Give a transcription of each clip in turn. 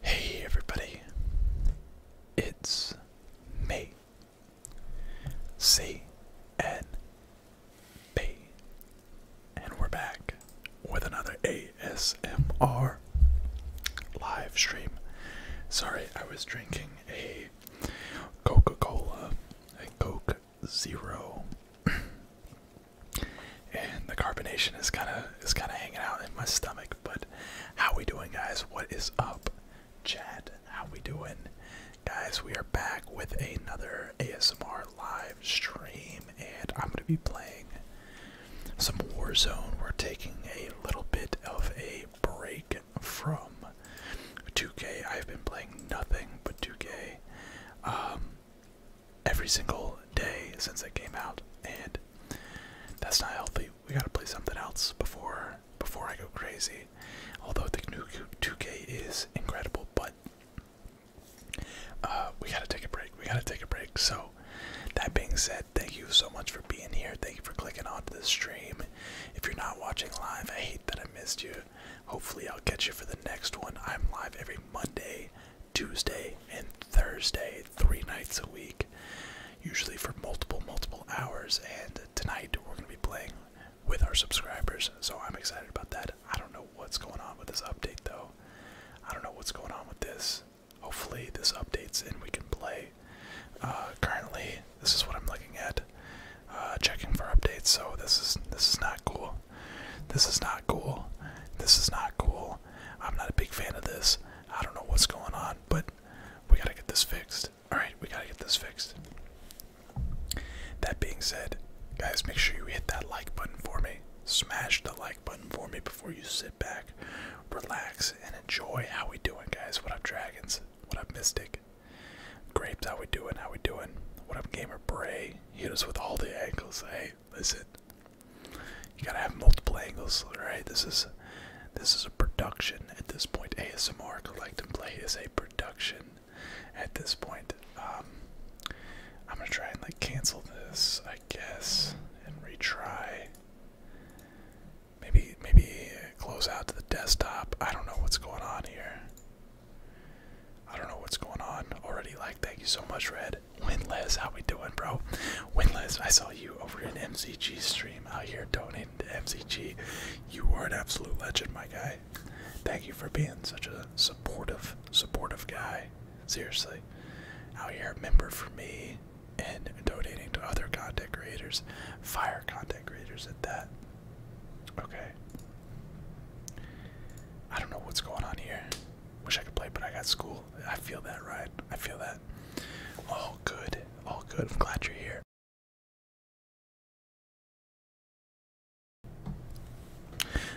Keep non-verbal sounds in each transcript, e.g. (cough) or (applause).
Hey everybody, it's me, C N B. And we're back with another ASMR live stream. Sorry, I was drinking a Coca Cola, a Coke Zero. and the carbonation is kind of is kind of hanging out in my stomach but how we doing guys what is up Chad? How we doing? Guys, we are back with another ASMR live stream and I'm gonna be playing some Warzone. We're taking a little bit of a break from 2K. I've been playing nothing but 2K um, every single day since it came out and that's not healthy. We gotta play something else before before I go crazy. Although the new 2K is incredible, but uh, we gotta take a break. We gotta take a break. So, that being said, thank you so much for being here. Thank you for clicking onto the stream. If you're not watching live, I hate that I missed you. Hopefully, I'll catch you for the next one. I'm live every Monday, Tuesday, and Thursday, three nights a week, usually for multiple, multiple hours. And tonight, we're gonna be playing with our subscribers, so I'm excited about that. I don't know what's going on with this update though. I don't know what's going on with this. Hopefully, this updates and we can play. Uh, currently, this is what I'm looking at, uh, checking for updates. So this is this is not cool. This is not cool. This is not cool. I'm not a big fan of this. I don't know what's going on, but we gotta get this fixed. Alright, we gotta get this fixed. That being said, guys, make sure you hit that like button for me. Smash the like button for me before you sit back, relax, and enjoy how we doing, guys. What up, Dragons? What up, Mystic? Grapes, how we doing? How we doing? What up, Gamer Bray? Hit us with all the angles. Hey, listen. You gotta have multiple angles, right? This is this is a production at this point. ASMR Collect and Play is a production at this point. Um, I'm gonna try and like cancel this, I guess, and retry. Maybe, maybe close out to the desktop. I don't know what's going on here. I don't know what's going on already. Like, thank you so much, Red. Winless, how we doing, bro? Winless, I saw you over in MCG stream out here donating to MCG. You are an absolute legend, my guy. Thank you for being such a supportive, supportive guy. Seriously. Out here, member for me and donating to other content creators. Fire content creators at that. Okay. I don't know what's going on here. Wish I could play, but I got school. I feel that, right? I feel that. All good. All good. I'm glad you're here.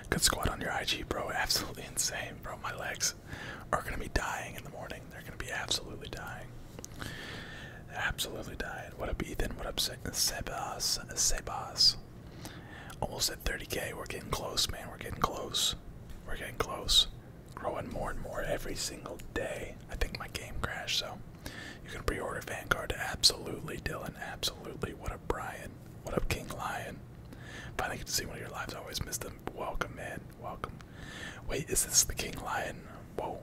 Good squat on your IG, bro. Absolutely insane, bro. My legs are gonna be dying in the morning. They're gonna be absolutely dying. Absolutely dying. What up, Ethan? What up, Se Sebas? Sebas. Almost at 30k. We're getting close, man. We're getting close. We're getting close. Growing more and more every single day. I think my game crashed, so you can pre-order Vanguard. Absolutely, Dylan. Absolutely. What up, Brian? What up, King Lion? Finally get to see one of your lives. I always missed them. Welcome, man. Welcome. Wait, is this the King Lion? Whoa.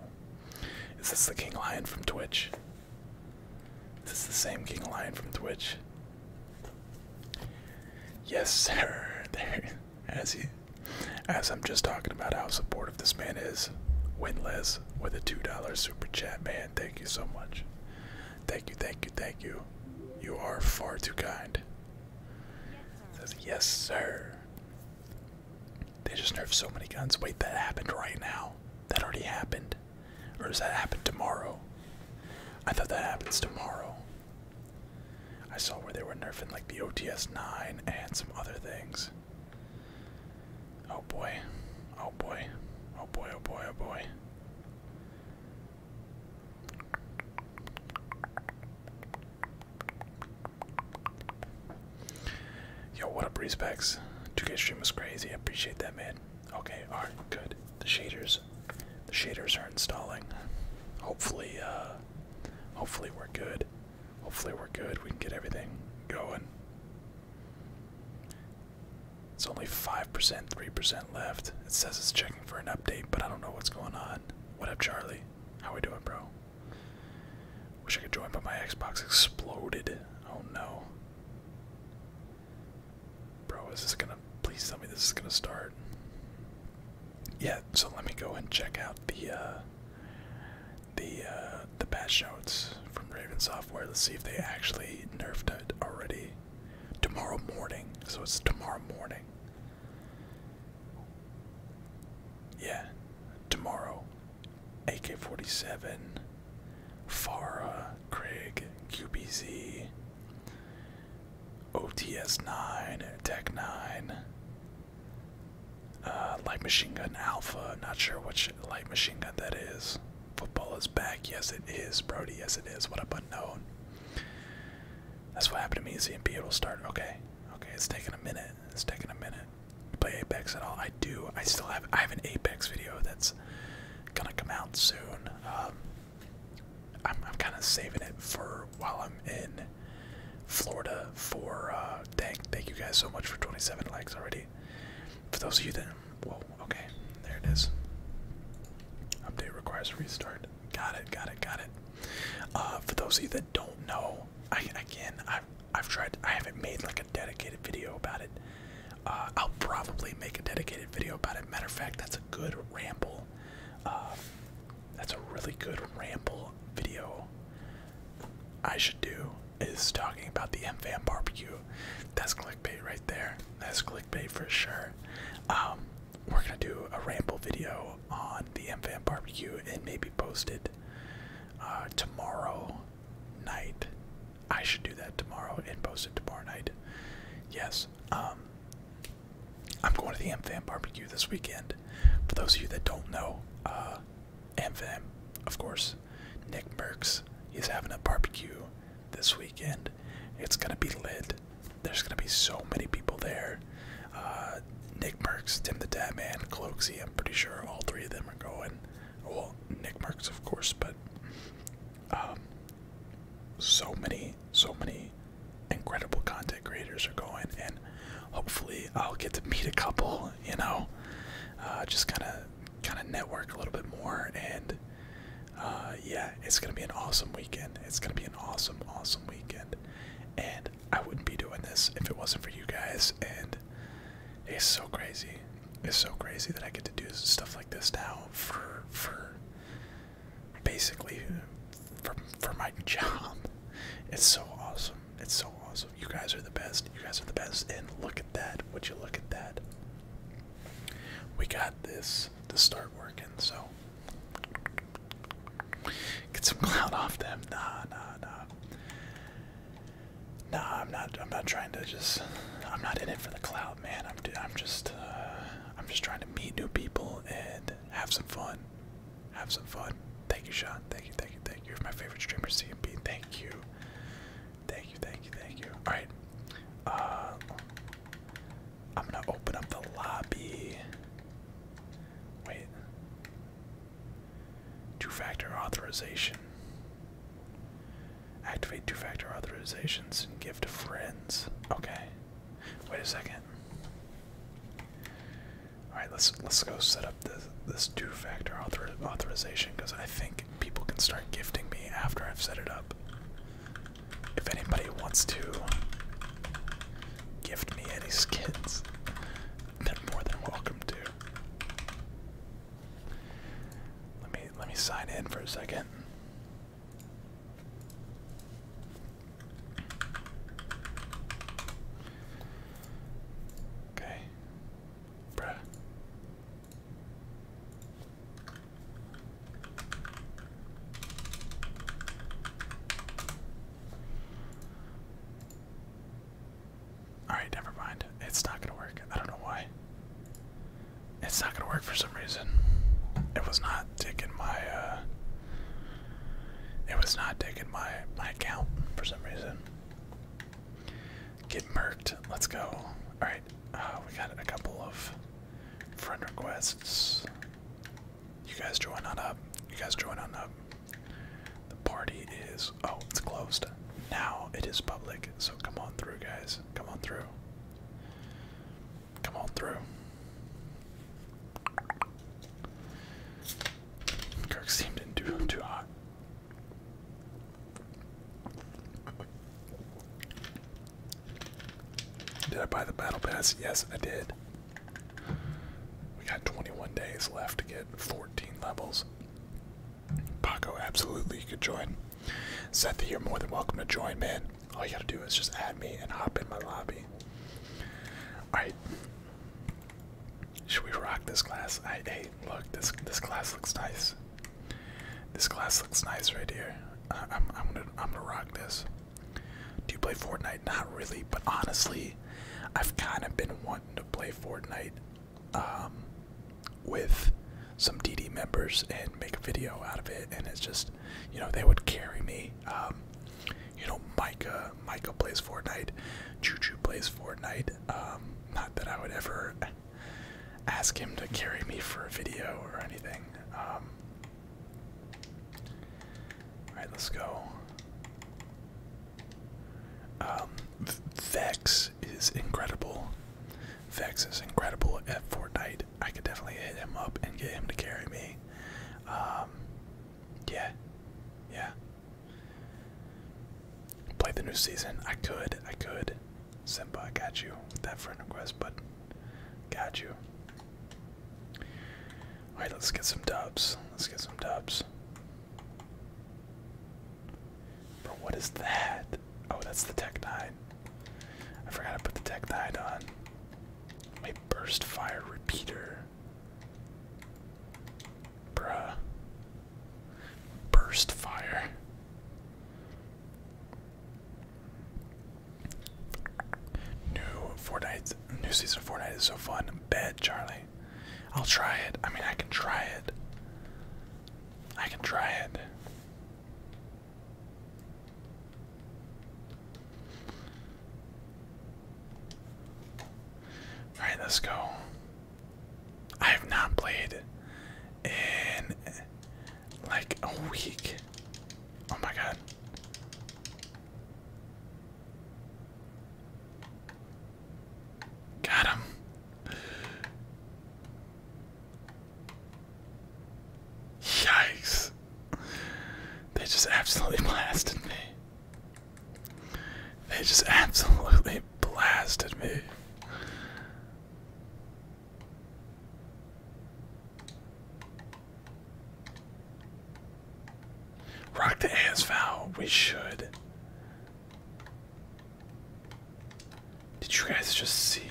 Is this the King Lion from Twitch? This Is the same King Lion from Twitch? Yes, sir. (laughs) There, as he, as I'm just talking about how supportive supportive this man is. Winless with a $2 super chat, man. Thank you so much. Thank you, thank you, thank you. You are far too kind. Says, yes, sir. They just nerfed so many guns. Wait, that happened right now. That already happened. Or does that happen tomorrow? I thought that happens tomorrow. I saw where they were nerfing like the OTS 9 and some other things. Oh boy. Oh boy. Oh boy, oh boy, oh boy. Yo, what up, respects? 2K stream was crazy. appreciate that, man. Okay, alright, good. The shaders. The shaders are installing. Hopefully, uh hopefully we're good. Hopefully we're good. We can get everything going. It's only 5%, 3% left. It says it's checking for an update, but I don't know what's going on. What up, Charlie? How we doing, bro? Wish I could join, but my Xbox exploded. Oh no. Bro, is this gonna. Please tell me this is gonna start. Yeah, so let me go and check out the, uh, the uh, the patch notes from Raven Software. Let's see if they actually nerfed it already. Tomorrow morning, so it's tomorrow morning. Yeah, tomorrow. AK-47, Farah, Craig, QBZ, OTS-9, Tech-9, uh, Light Machine Gun Alpha, not sure what light machine gun that is. Football is back. Yes, it is, Brody. Yes, it is. What up, unknown? That's what happened to me. ZMP, it'll start. Okay. Okay, it's taking a minute. It's taking a minute. You play Apex at all? I do. I still have. I have an Apex video that's gonna come out soon. Um, I'm, kind of saving it for while I'm in Florida for. Uh, thank you guys so much for 27 likes already. For those of you that whoa, okay, there it is. Update requires restart. Got it, got it, got it. Uh, for those of you that don't know, I again I've tried I haven't made like a dedicated video about it. Uh, I'll probably make a dedicated video about it. Matter of fact, that's a good ramble. Uh, that's a really good ramble video. I should do is talking about the MFAM barbecue. That's clickbait right there. That's clickbait for sure. Um, we're gonna do a ramble video on the MFAM barbecue and maybe post it uh, tomorrow night. I should do that tomorrow and post it tomorrow night. Yes. Um, I'm going to the MFAM barbecue this weekend. For those of you that don't know, uh, AmFam, of course. Nick Merckx, is having a barbecue this weekend. It's gonna be lit. There's gonna be so many people there. Uh, Nick Merckx, Tim the Man, Cloaksy, I'm pretty sure all three of them are going. Well, Nick Merckx, of course, but um, so many, so many incredible content creators are going, and hopefully I'll get to meet a couple, you know, uh, just kind of kind of network a little bit more. And uh, yeah, it's going to be an awesome weekend. It's going to be an awesome, awesome weekend. And I wouldn't be doing this if it wasn't for you guys. And it's so crazy. It's so crazy that I get to do stuff like this now for for basically for for my (laughs) job. It's so awesome. It's so awesome you guys are the best. You guys are the best. And look at that. Would you look at that? We got this to start working. So get some (laughs) cloud off them. Nah, nah, nah. Nah, I'm not. I'm not trying to just. I'm not in it for the cloud, man. I'm. I'm just. Uh, I'm just trying to meet new people and have some fun. Have some fun. Thank you, Sean. Thank you, thank you, thank you. You're my favorite streamer, C and CMP. Thank you. Thank you, thank you, thank you. All right. Uh, I'm gonna open up the lobby. Wait. Two-factor authorization. Activate two-factor authorizations and give to friends. Okay. Wait a second. All right, let's let's go set up this this two-factor author authorization because I think people can start gifting me after I've set it up. If anybody wants to gift me any skins, they're more than welcome to. Let me let me sign in for a second. Okay. Bruh. Alright, never mind. It's not gonna work. I don't know why. It's not gonna work for some reason. It was not taking my uh, it was not taking my my account for some reason. Get merked. Let's go. Alright, uh, we got a couple of friend requests. You guys join on up. You guys join on up. The party is. Oh, it's closed. Now it is public, so come on through, guys. Come on through. Come on through. Kirk's team did do too hot. Did I buy the battle pass? Yes, I did. We got 21 days left to get 14 levels. Paco, absolutely, you could join. Seth, you're more than welcome to join, man. All you gotta do is just add me and hop in my lobby. Alright. Should we rock this class? I hey, look, this this class looks nice. This glass looks nice right here. I, am gonna, I'm gonna rock this. Do you play Fortnite? Not really, but honestly, I've kind of been wanting to play Fortnite um, with some DD members and make a video out of it, and it's just, you know, they would carry me. Um, you know, Micah, Micah plays Fortnite, Choo plays Fortnite. Um, not that I would ever ask him to carry me for a video or anything. Um, alright, let's go. Um, Vex is incredible. Vex is incredible at Fortnite. I could definitely hit him up and get him to carry me. Um, yeah, yeah play the new season. I could, I could. Simba, I got you that friend request, but got you. Alright, let's get some dubs. Let's get some dubs. But what is that? Oh, that's the Tech 9. I forgot to put the Tech 9 on. My burst fire repeater. Bruh. Burst fire. New Fortnite, new season of Fortnite is so fun. Bed, Charlie. I'll try it. I mean, I can try it. I can try it. Alright, let's go. I have not played in like a week. Oh my god. Got him. Yikes. They just absolutely (laughs) blasted me. They just absolutely blasted me. Rock the ass foul. We should. Did you guys just see?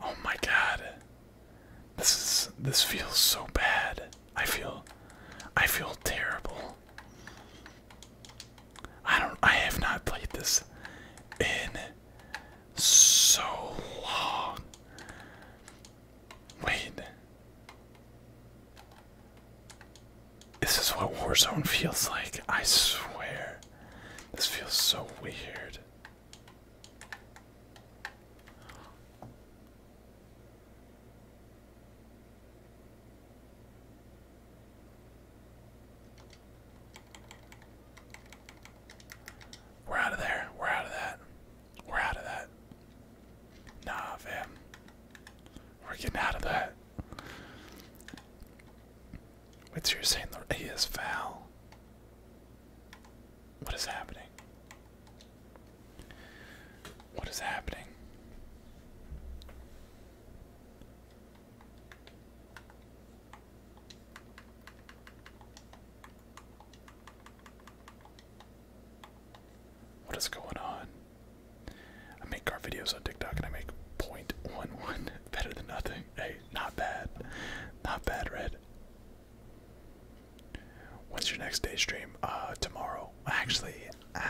Oh my god. This is this feels so bad. I feel I feel terrible. I don't I have not played this in so long. Wait. This is what Warzone feels like, I swear. This feels so weird. We're out of there. We're out of that. We're out of that. Nah, fam. We're getting out of that. What's your saying the he is foul? What is happening? What is happening? What is going on? I make car videos on TikTok and I make 0.11 (laughs) better than nothing. Hey, not bad. Not bad, Red. When's your next day stream? Uh, tomorrow. Actually, uh,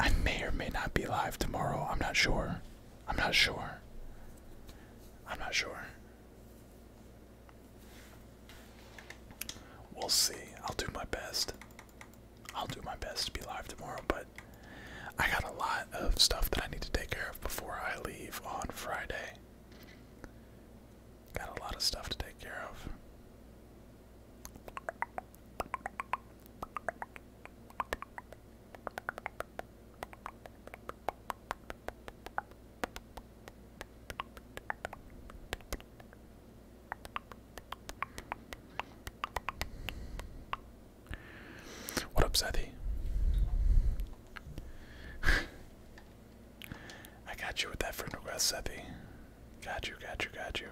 I may or may not be live tomorrow. I'm not sure. I'm not sure. I'm not sure. We'll see. I'll do my best. I'll do my best to be live tomorrow, but I got a lot of stuff that I need to take care of before I leave on Friday. Got a lot of stuff to take care of. What up, Sethy? I got you with that friend request, Sethy. Got you, got you, got you.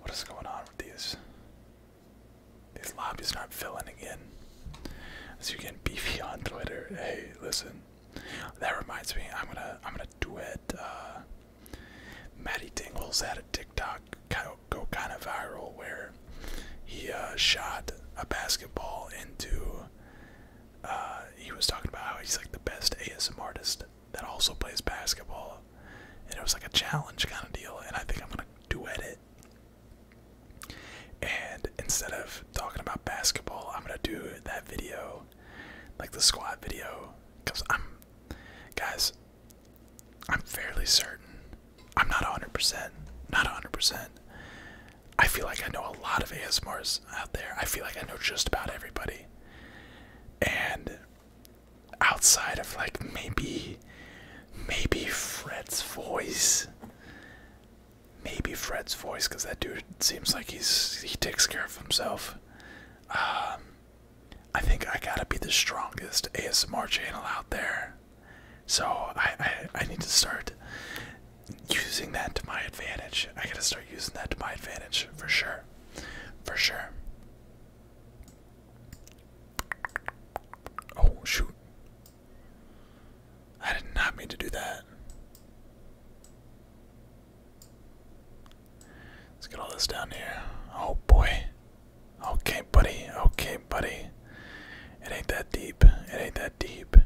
What is going on with these? These lobbies aren't filling again. So you can beefy on Twitter. Hey, listen. That reminds me, I'm gonna I'm gonna duet uh Matty Tingles had a TikTok kind of go kind of viral where he uh, shot a basketball into uh, he was talking about how he's like the best ASM artist that also plays basketball. And it was like a challenge kind of deal, and I think I'm gonna duet it. And instead of talking about basketball, I'm gonna do that video, like the squat video, because I'm, guys, I'm fairly certain. I'm not 100%. Not 100%. I feel like I know a lot of ASMRs out there. I feel like I know just about everybody. And outside of like maybe, maybe Fred's voice, maybe Fred's voice because that dude seems like he's he takes care of himself. Um, I think I gotta be the strongest ASMR channel out there, so I, I I need to start using that to my advantage. I gotta start using that to my advantage for sure, for sure. Oh shoot! I did not mean to do that. Let's get all this down here. Oh boy. Okay, buddy. Okay, buddy. It ain't that deep. It ain't that deep.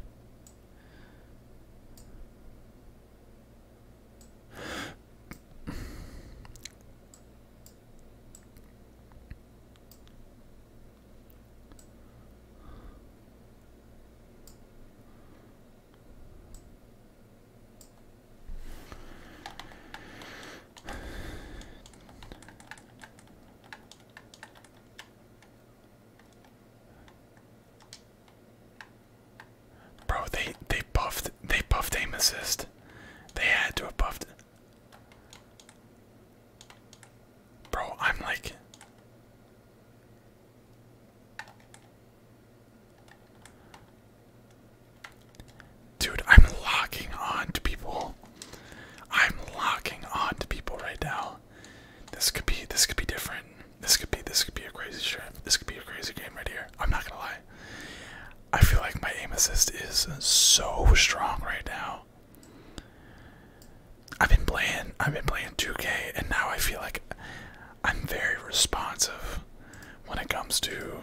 Bro, they they buffed they buffed aim assist. They had to have buffed Bro, I'm like. Dude, I'm locking on to people. I'm locking on to people right now. This could be this could be different. This could be this could be a crazy trip. This could be a crazy game right here. I'm not gonna lie. I feel like my aim assist is so strong right now. I've been playing I've been playing 2K and now I feel like I'm very responsive when it comes to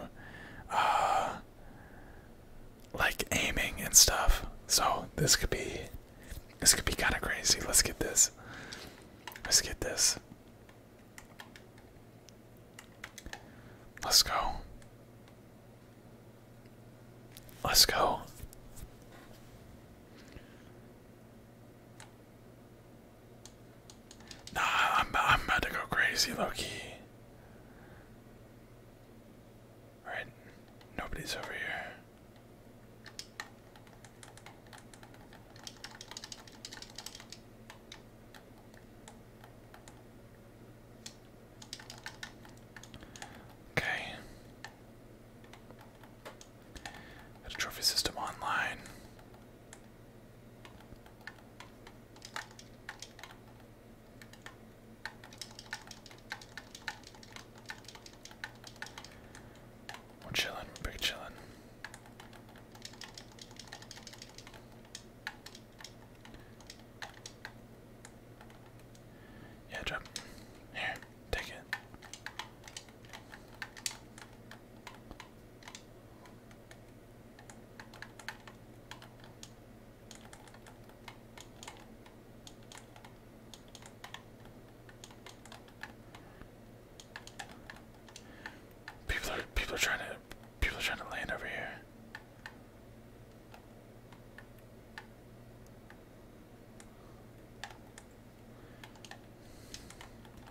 uh, like aiming and stuff. So this could be this could be kinda crazy. Let's get this. Let's get this. Let's go. Let's go. Nah, I'm, I'm about to go crazy, Loki. Alright, nobody's over here. Okay. Got a trophy system online. We're chilling, big chilling. Yeah, drop here. Take it. People are people are trying to people are trying to land over here.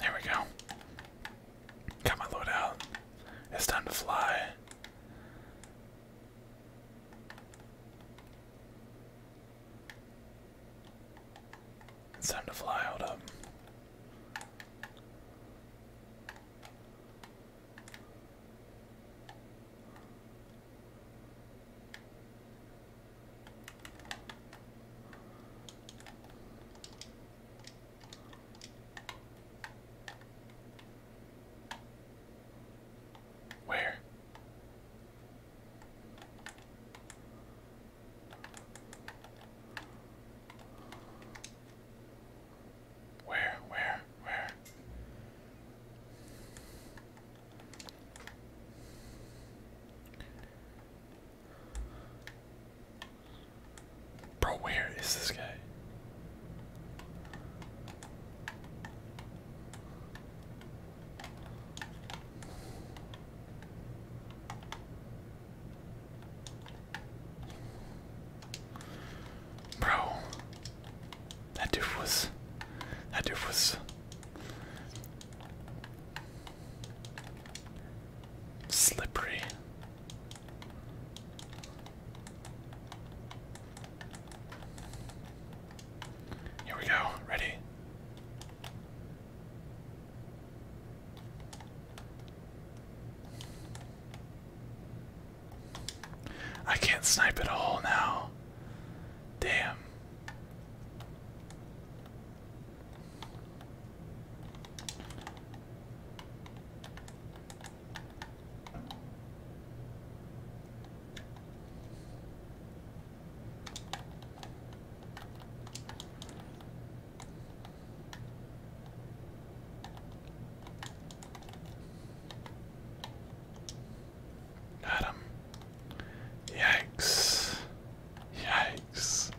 There we go. Got my load out. It's time to fly. It's time to fly, hold up. Where? Where, where, where? Bro, where is this guy? Bro, that doof was. That doof was. Slippery. Here we go. Ready? I can't snipe at all now. Damn. Got Yikes. Yikes.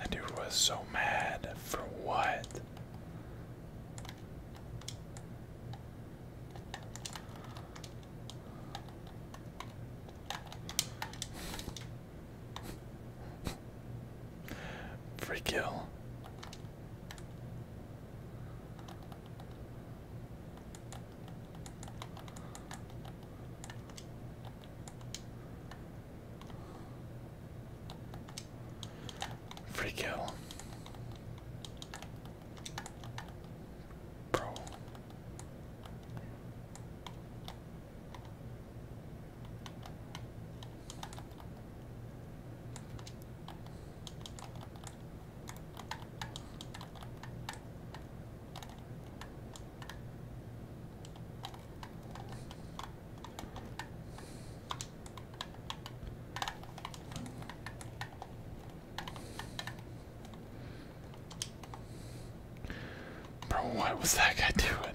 And dude was so mad. For what? Free kill. Free kill. Bro. Bro, what was that guy doing?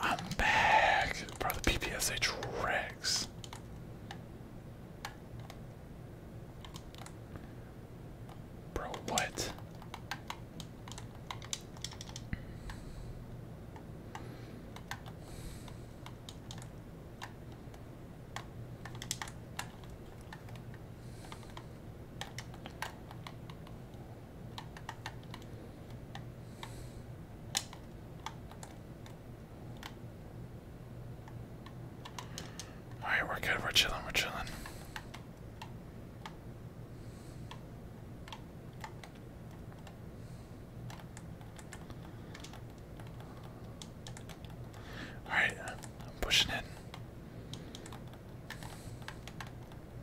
I'm back. Bro, the PPSH wrecks. Bro, what? Alright, we're good, we're chilling, we're chilling. Alright, I'm pushing in.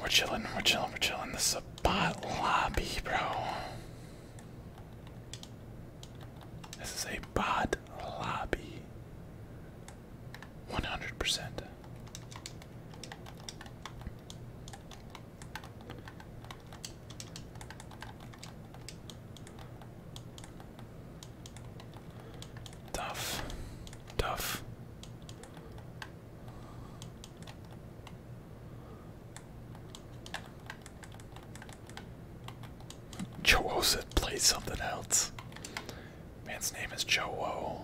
We're chilling, we're chilling, we're chilling. This is a bot lobby, bro. This is a bot lobby. 100%. Tough. Tough. Joe said play something else. Man's name is Joe.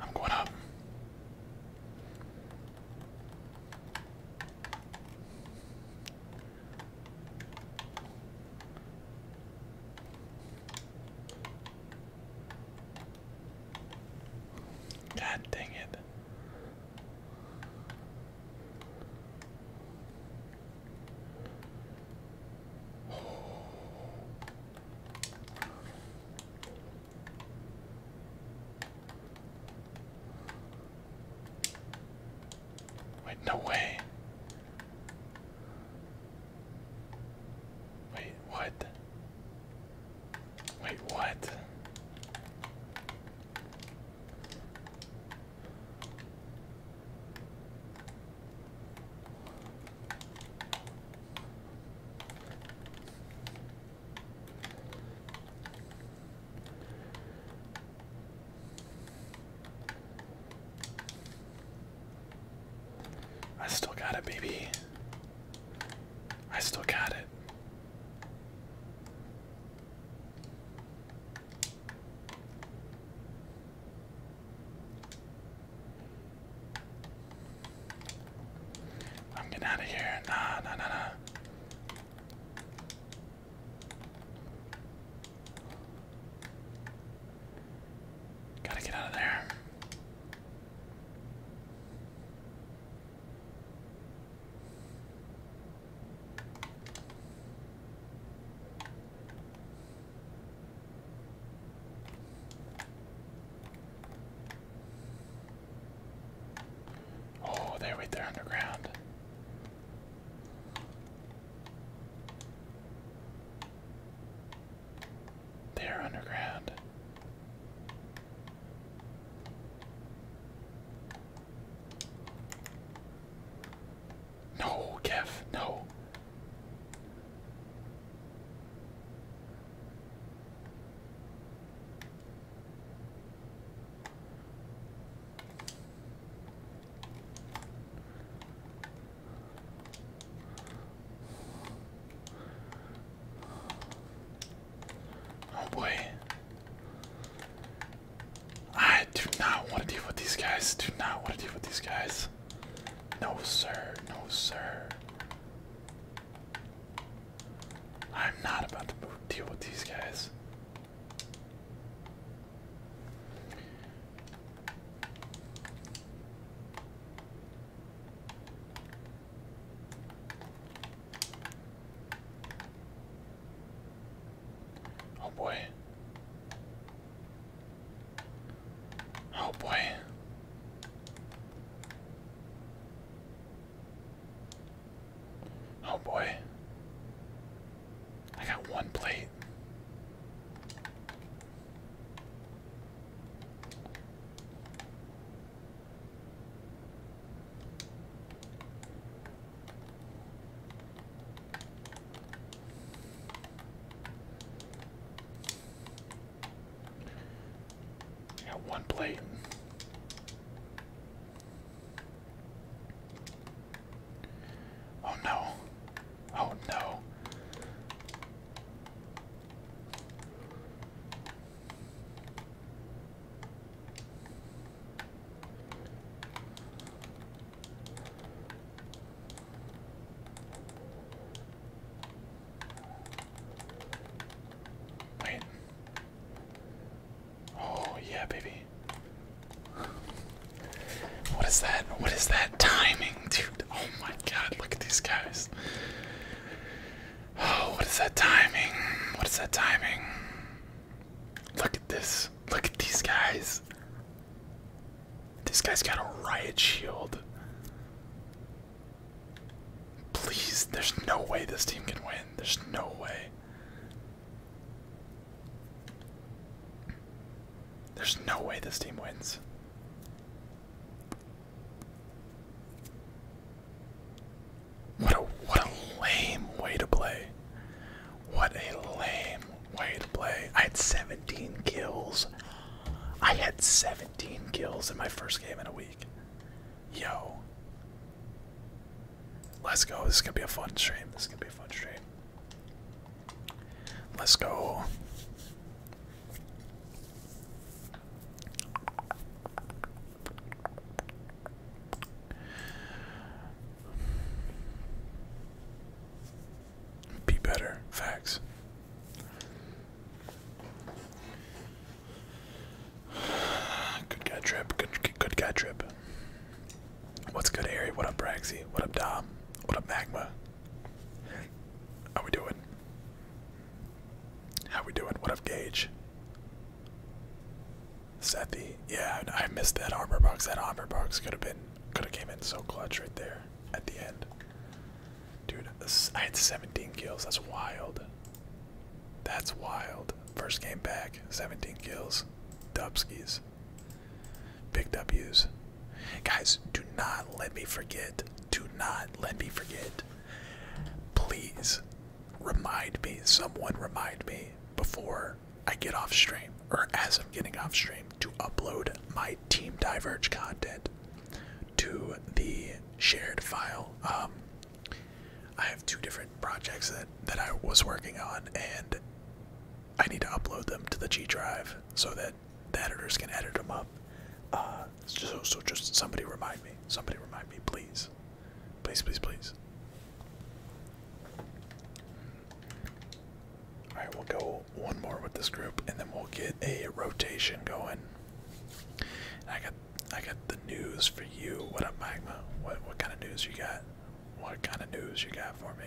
I'm going up. God dang it. Wait, no way. Wait, what? Wait, what? I still got it, baby. I still got it. I'm getting out of here. Nah, nah, nah, nah. Gotta get out of there. Oh, there, wait, they underground. They're underground. No, Kev, no. Oh boy. I do not want to deal with these guys. Do not want to deal with these guys. No, sir. No, sir. I'm not about to deal with these guys. Oh boy. Oh boy. Oh boy. I got one plate. I got one plate. Oh no. Oh no. Wait. Oh yeah, baby. What is that? What is that timing, dude? Oh my god, look at these guys. Oh, what is that timing? What is that timing? Look at this. Look at these guys. This guy's got a riot shield. Please, there's no way this team can win. There's no way. There's no way this team wins. What a what a lame way to play. What a lame way to play. I had 17 kills. I had 17 kills in my first game in a week. Yo. Let's go. This is gonna be a fun stream. This is gonna be a fun stream. Let's go. Be better. Facts. Good guy trip. Good good guy trip. What's good, Harry? What up, Braxy? What up, Dom? What up, Magma? How we doing? How we doing? What of Gage? Sethy, yeah, I missed that armor box. That armor box could have been, could have came in so clutch right there at the end. Dude, I had 17 kills. That's wild. That's wild. First game back, 17 kills. Dubskis. Big W's. Guys, do not let me forget. Do not let me forget. Please remind me, someone remind me before I get off stream or as I'm getting off stream to upload my Team Diverge content to the shared file. Um, I have two different projects that, that I was working on, and I need to upload them to the G Drive so that the editors can edit them up. Uh, so, just somebody remind me. Somebody remind me, please. Please, please, please. Alright, we'll go one more with this group and then we'll get a rotation going. I got I got the news for you. What up Magma? What what kind of news you got? What kind of news you got for me?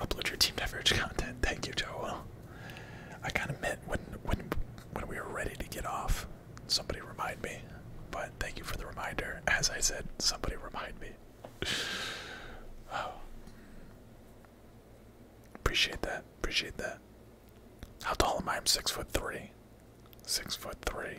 Upload your team beverage content. Thank you, Joel. I kind of meant when when when we were ready to get off, somebody remind me. But thank you for the reminder. As I said, somebody remind me. oh. Appreciate that. Appreciate that. How tall am I? I'm six foot three. Six foot three.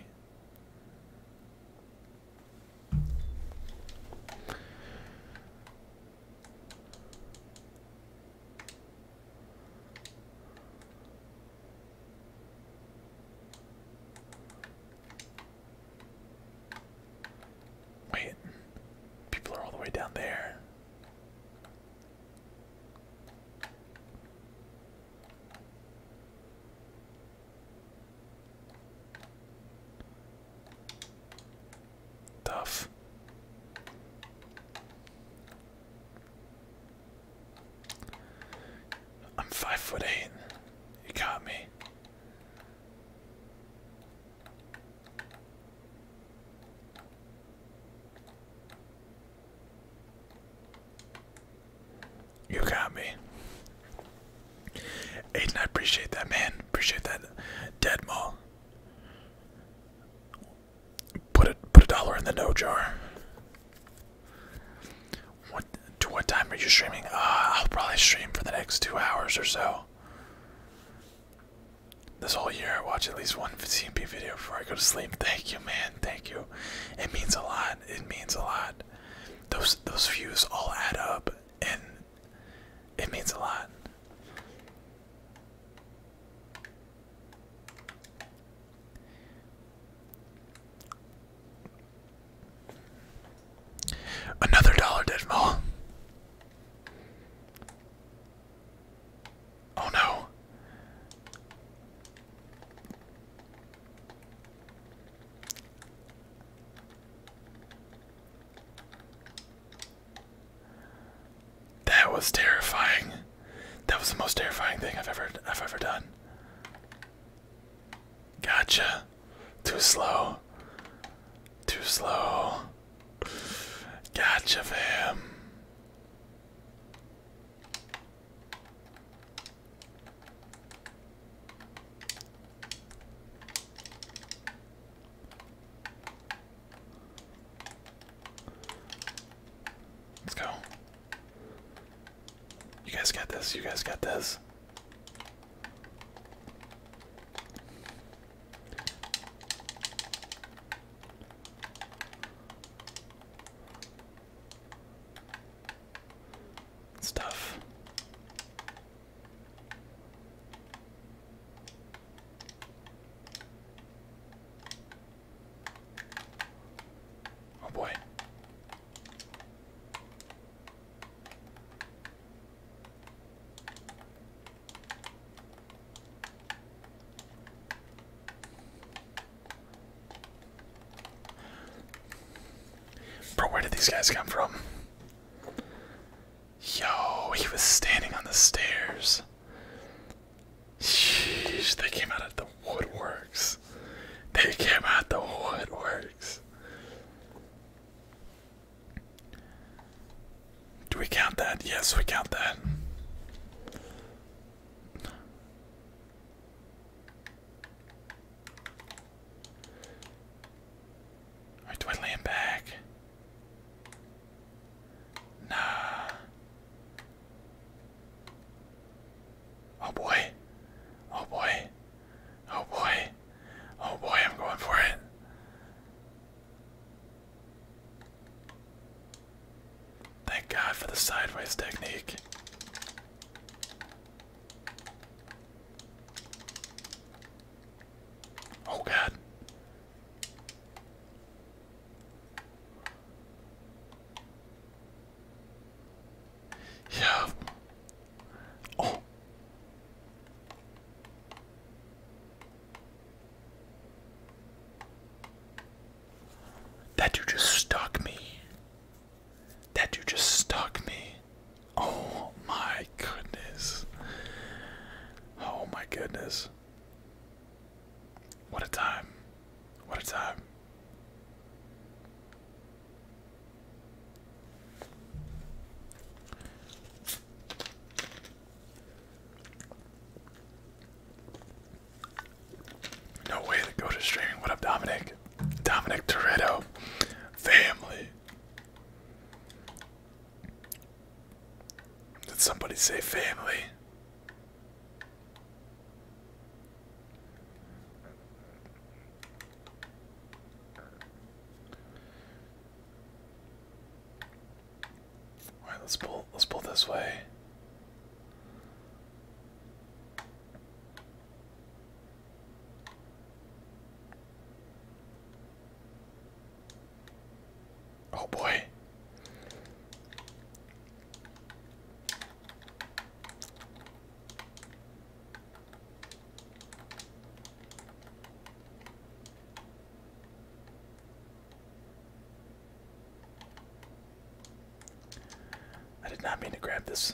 Wait, people are all the way down there. Tough. I'm five foot eight. You got me. You got me. Aiden, I appreciate that, man. Appreciate that. Dead mall. Put a put a dollar in the no jar. What to what time are you streaming? Uh, I'll probably stream for the next two hours or so. This whole year, I watch at least one C and P video before I go to sleep. Thank you, man. Thank you. It means a lot. It means a lot. Those those views all add up, and it means a lot. Another dollar did fall. Oh no. That was terrifying. That was the most terrifying thing I've ever I've ever done. Gotcha. Too slow. Too slow. Gotcha, fam. Let's go. You guys got this. You guys got this. Stuff. Oh boy. Bro, where did these guys come from? Yo, he was standing on the stairs. Sheesh, they came out of the woodworks. They came out the woodworks. Do we count that? Yes, we count that. Or do I back? Nah. Oh boy. Oh boy. Oh boy. Oh boy, I'm going for it. Thank God for the sideways technique. Oh god. Yeah. Oh. That dude just stuck me. That dude just stuck me. Oh my goodness. Oh my goodness. What a time. What a time. No way to go to streaming. What up, Dominic? Dominic Toretto. Family. Did somebody say family? All right, let's pull. Let's pull this way. Oh boy. I did not mean to grab this.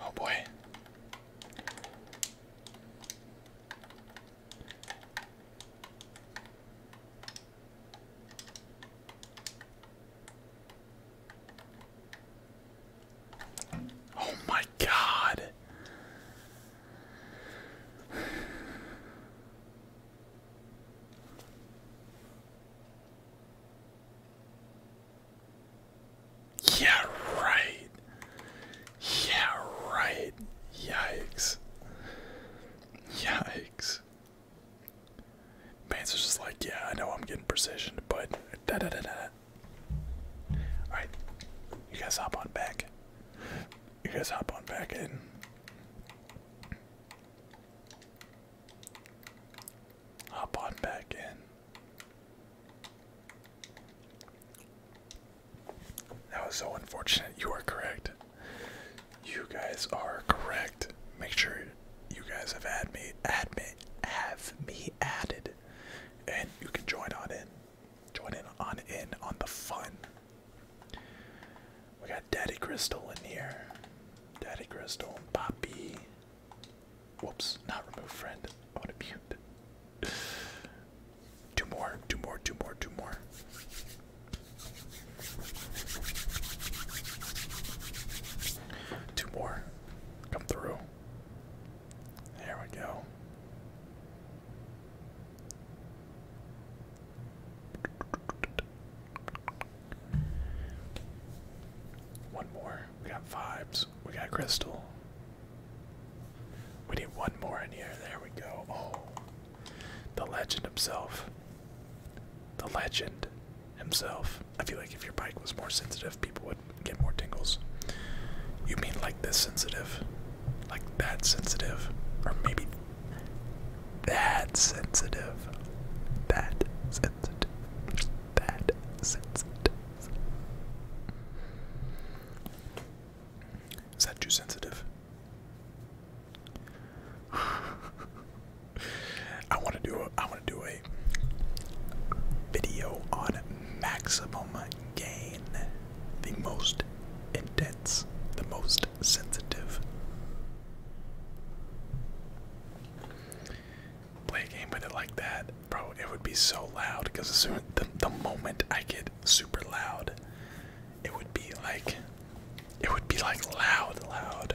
Oh boy. Oh my God. Yeah, right. Yeah, right. Yikes. Yikes. Bands are just like, yeah, I know I'm getting precision, but da da da da. Alright, you guys hop on back. You guys hop on back in hop on back in. That was so unfortunate. You are correct. You guys are correct. Make sure you guys have had me, add me, have me added, and you can join on in. Join in on in on the fun. We got Daddy Crystal in here. Daddy Crystal and Poppy. Whoops, not remove friend. I want to mute. Two more, two more, two more, two more. Two more. Come through. There we go. One more. We got vibes. We got crystal. We need one more in here. There we go. Oh. The legend himself. The legend himself. I feel like if your bike was more sensitive, people would get more tingles. You mean like this sensitive? Like that sensitive? Or maybe that sensitive? That sensitive? That sensitive? Is that too sensitive? (laughs) I want to do a, I want to do a video on maximum gain, the most intense, the most sensitive play a game with it like that, bro, it would be so loud. Because as soon the, the moment I get super loud, it would be like, it would be like loud, loud.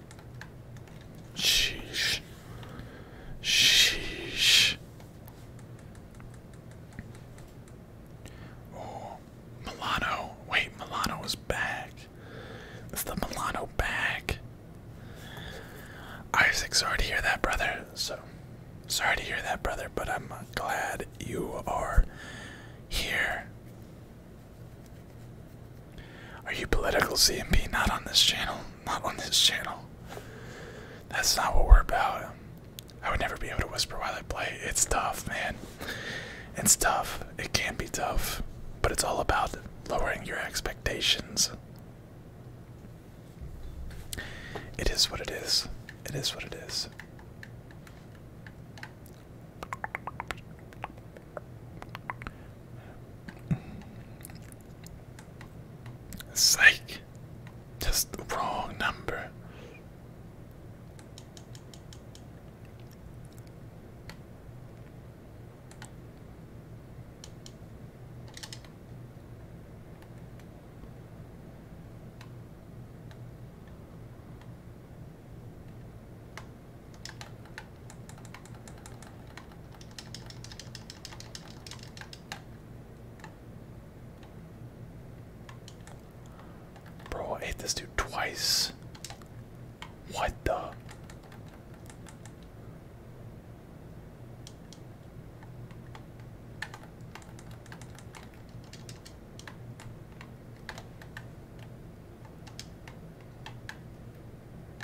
Sheesh. Sheesh. Oh, Milano. Wait, Milano is back. It's the Milano back. Isaac, sorry to hear that, brother. So, sorry to hear that, brother, but I'm glad you are here. Are you political C and CMP? Not on this channel. Not on this channel. That's not what we're about. I would never be able to whisper while I play. It's tough, man. It's tough. It can be tough. But it's all about lowering your expectations. It is what it is. It is what it is. It's like just the wrong number. Bro, I ate this dude twice. What the?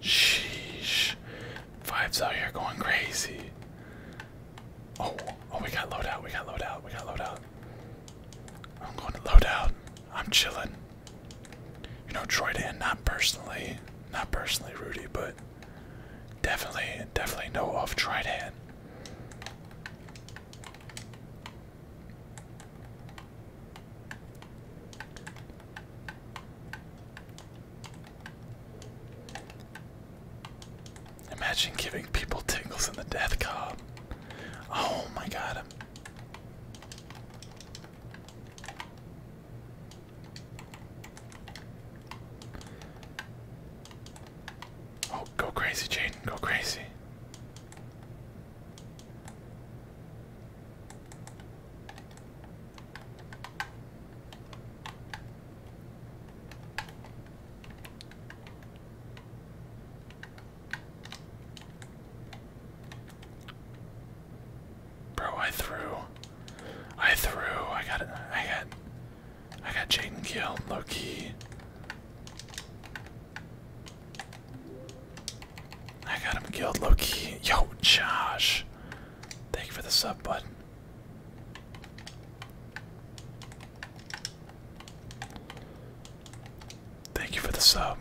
Sheesh. Vibes out here going crazy. Oh, oh, we got loadout, we got loadout, we got loadout. I'm going to loadout. I'm chilling. You know, Troydan, not personally, not personally Rudy, but definitely, definitely know of Troydan. Imagine giving people tingles in the death cob. Oh my god. Oh, go crazy, Jaden. Go crazy. Bro, I threw. I threw. I got it. I got. I got Jaden killed, low key. I got him killed, Loki. Yo, Josh. Thank you for the sub, button. Thank you for the sub.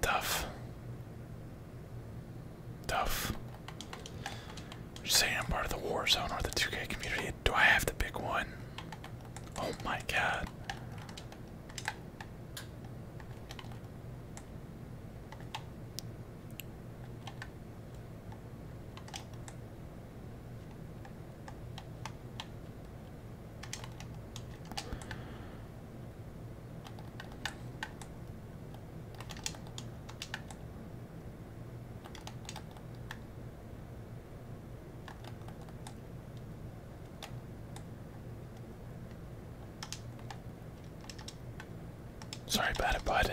Tough. Tough. you say I'm part of the war zone or the 2K community? Do I have to pick one? Oh my god. Sorry about it, bud.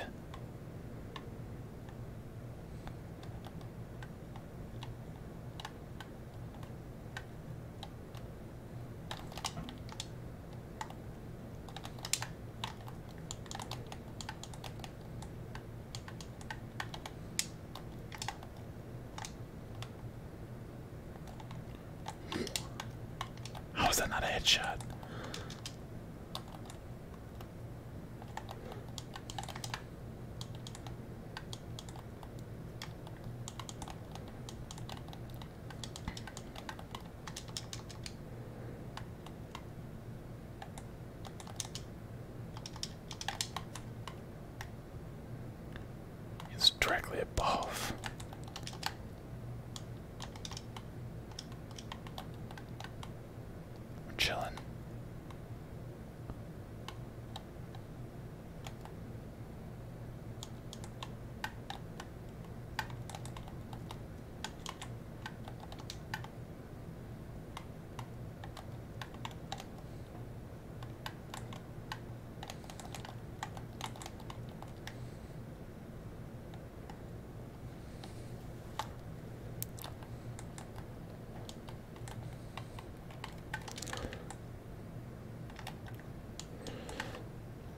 How is that not a headshot? It's directly above. I'm chilling.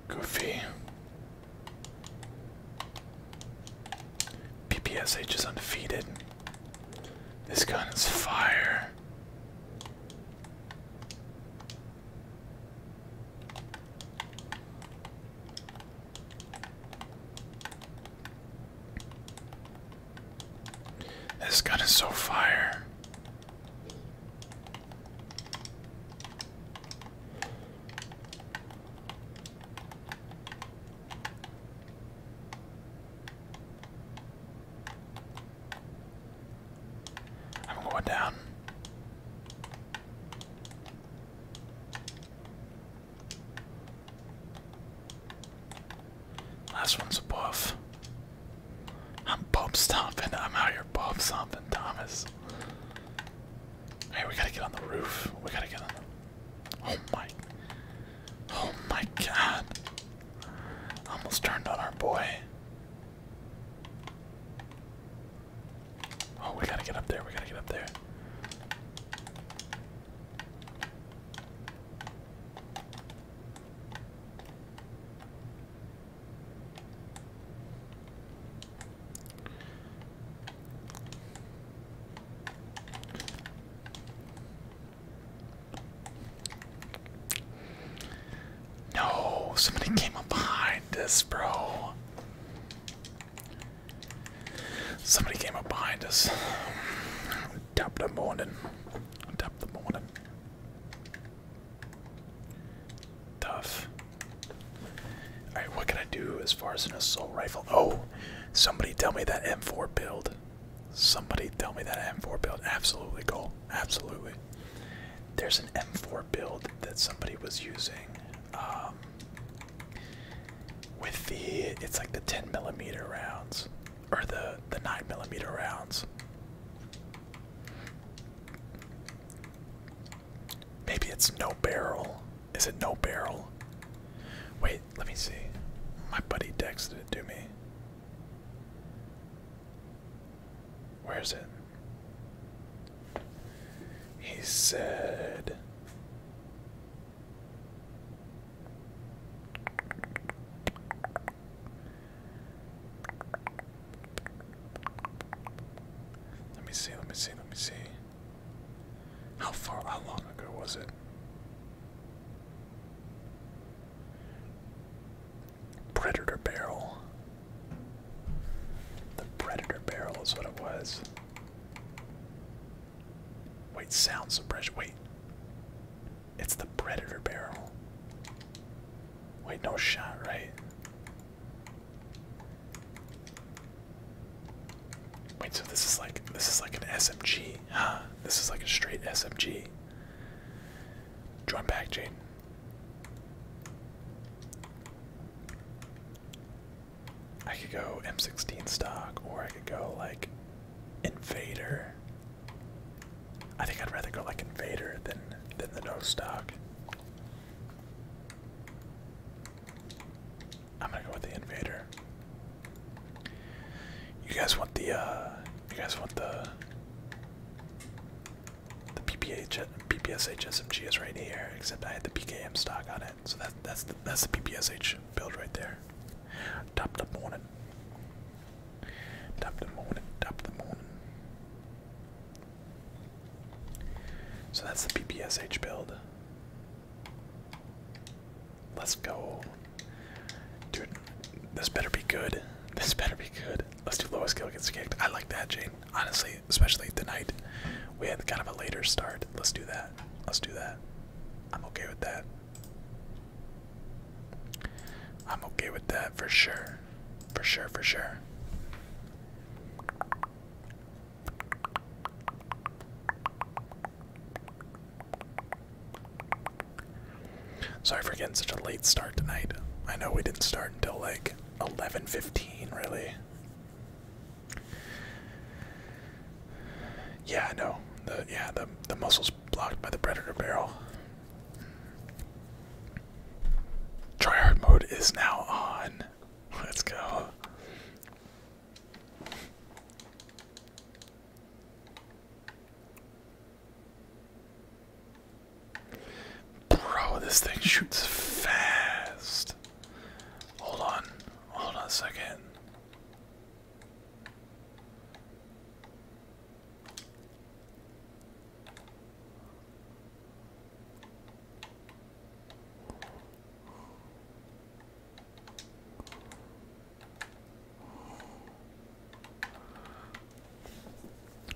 Goofy. PPSH is undefeated. This gun is fire. This gun is so fire. I'm going down. Last one's above. I'm bob I'm out here bob stomping, Thomas. Hey, we gotta get on the roof. We gotta get on Oh my. Oh my god. Almost turned on our boy. Oh, we gotta get up there. We gotta get up there. No, somebody (laughs) came up behind us, bro. Somebody came up behind us. Tap the morning. Tap the morning. Tough. Alright, what can I do as far as an assault rifle? Oh, somebody tell me that M4 build. Somebody tell me that M4 build. Absolutely, cool. Absolutely. There's an M4 build that somebody was using. Um, with the, it's like the 10 millimeter rounds or the the nine millimeter rounds. Maybe it's no barrel. Is it no barrel? Wait, let me see. My buddy did it to me. Where is it? He said let me see, let me see, let me see. How far, how long ago was it? Predator barrel. The predator barrel is what it was. Wait, sounds sound suppression. Wait. It's the predator barrel. Wait, no shot, right? Wait, so this is like this is like an SMG, huh? This is like a straight SMG. Join back, Jane. I could go M16 stock, or I could go like Invader. I think I'd rather go like Invader than than the no stock. I'm gonna go with the Invader. You guys want the uh you guys want the the PPH PPSH SMG is right here, except I had the PKM stock on it, so that that's the that's the PPSH build right there. Top the morning. Top the morning. Top the morning. So that's the PPSH build. Let's go. Dude, this better be good. (laughs) This better be good. Let's do lowest kill gets kicked. I like that, Jane. Honestly, especially tonight. We had kind of a later start. Let's do that. Let's do that. I'm okay with that. I'm okay with that for sure. For sure, for sure. Sorry for getting such a late start tonight. I know we didn't start until like 11:15 really. Yeah, I know. yeah, the the muscle's blocked by the predator barrel. Tryhard mode is now on. Let's go. Bro, this thing shoots fast. Hold on. Hold on a second.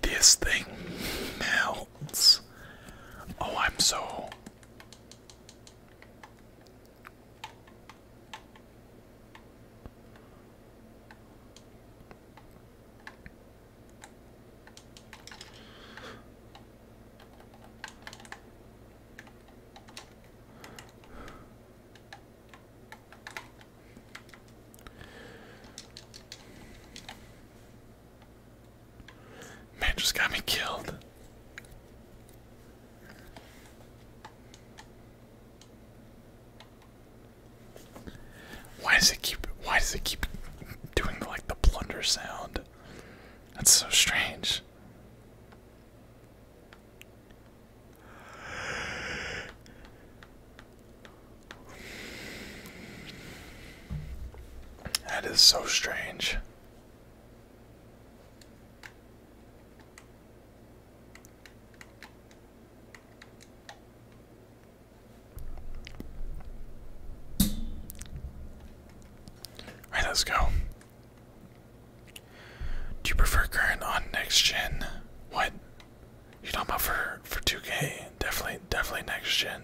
This thing melts. Oh, I'm so Man just got me killed. Why does it keep why does it keep doing like the blunder sound? That's so strange. That is so strange. Alright, let's go. Do you prefer current on next gen? What? You're talking about for for 2K? Definitely, definitely next gen.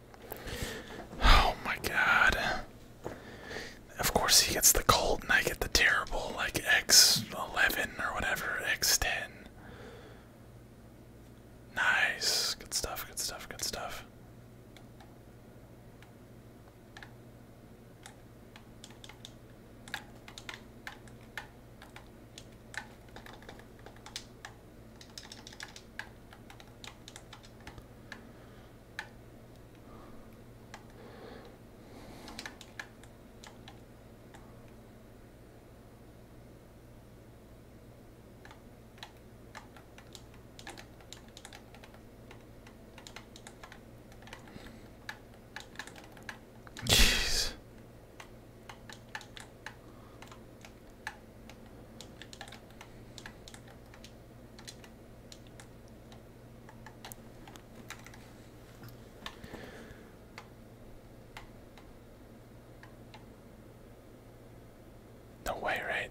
Oh my god. Of course he gets the cold and I get the terrible like X11 or whatever, X10. Nice. Good stuff, good stuff, good stuff. Jeez. No way, right?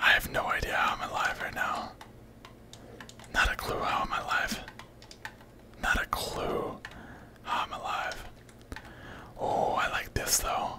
I have no idea how I'm alive right now. Not a clue how I'm alive. Not a clue I'm alive. Oh, I like this though.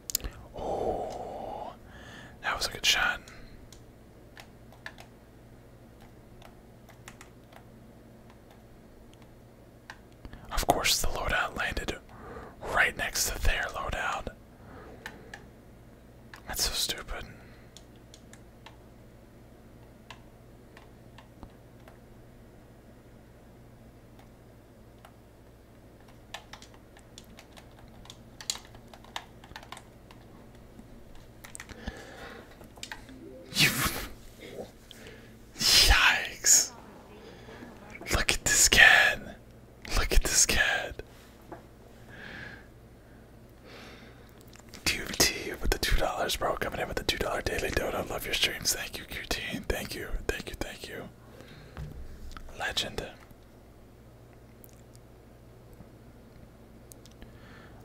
Oh, that was a good shot. Of course, the loadout landed right next to their loadout. That's so stupid. Yikes. Look at this kid. Look at this kid. QT with the two dollars, bro. Coming in with the two dollar daily dodo. Love your streams. Thank you, QT. Thank you. Thank you. Thank you. Legend.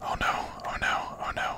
Oh no, oh no, oh no.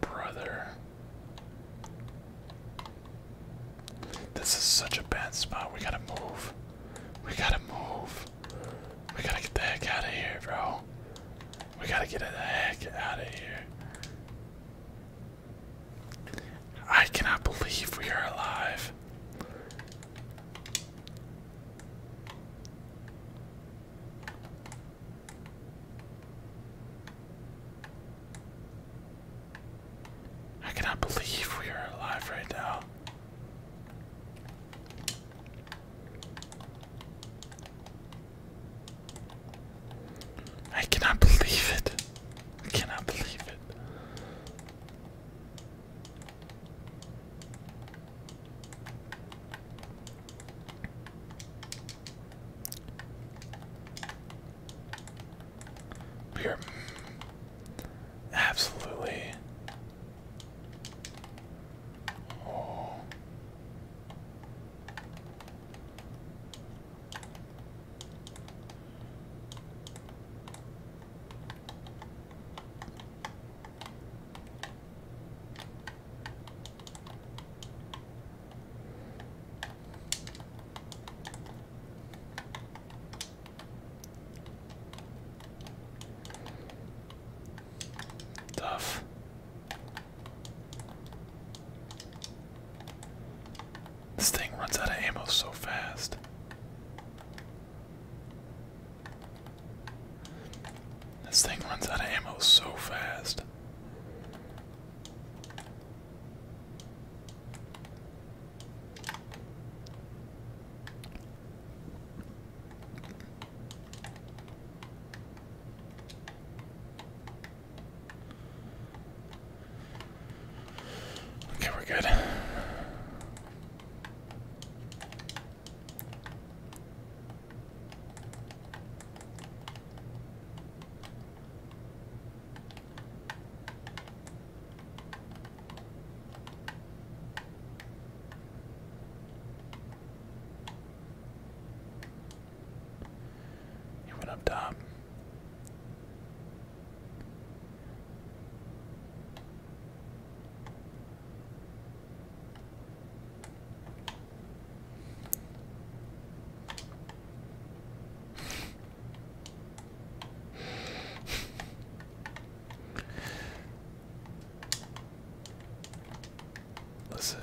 Brother. This is such a bad spot. We gotta move. We gotta move. We gotta get the heck out of here, bro. We gotta get the heck out of here. I cannot believe we are alive. I cannot believe we are alive right now. I cannot believe it. I cannot believe it. We absolutely. Tough. This thing runs out of ammo so fast. This thing runs out of ammo so fast. Okay, we're good. He went up top. Listen.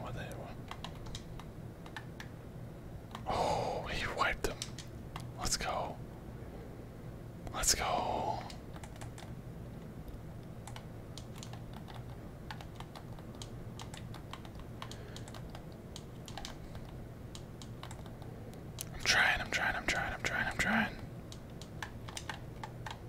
What they Oh, he wiped him. Let's go. Let's go. I'm trying, I'm trying, I'm trying, I'm trying, I'm trying.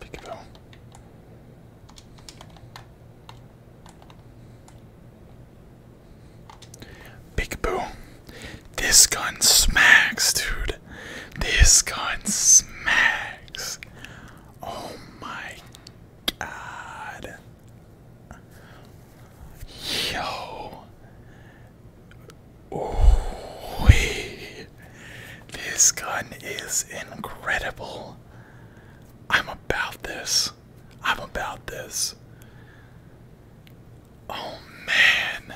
Peekaboo. Peekaboo. This gun smacks, dude. This gun smacks. Oh my god. Yo. Ooh This gun is incredible. I'm about this. I'm about this. Oh man.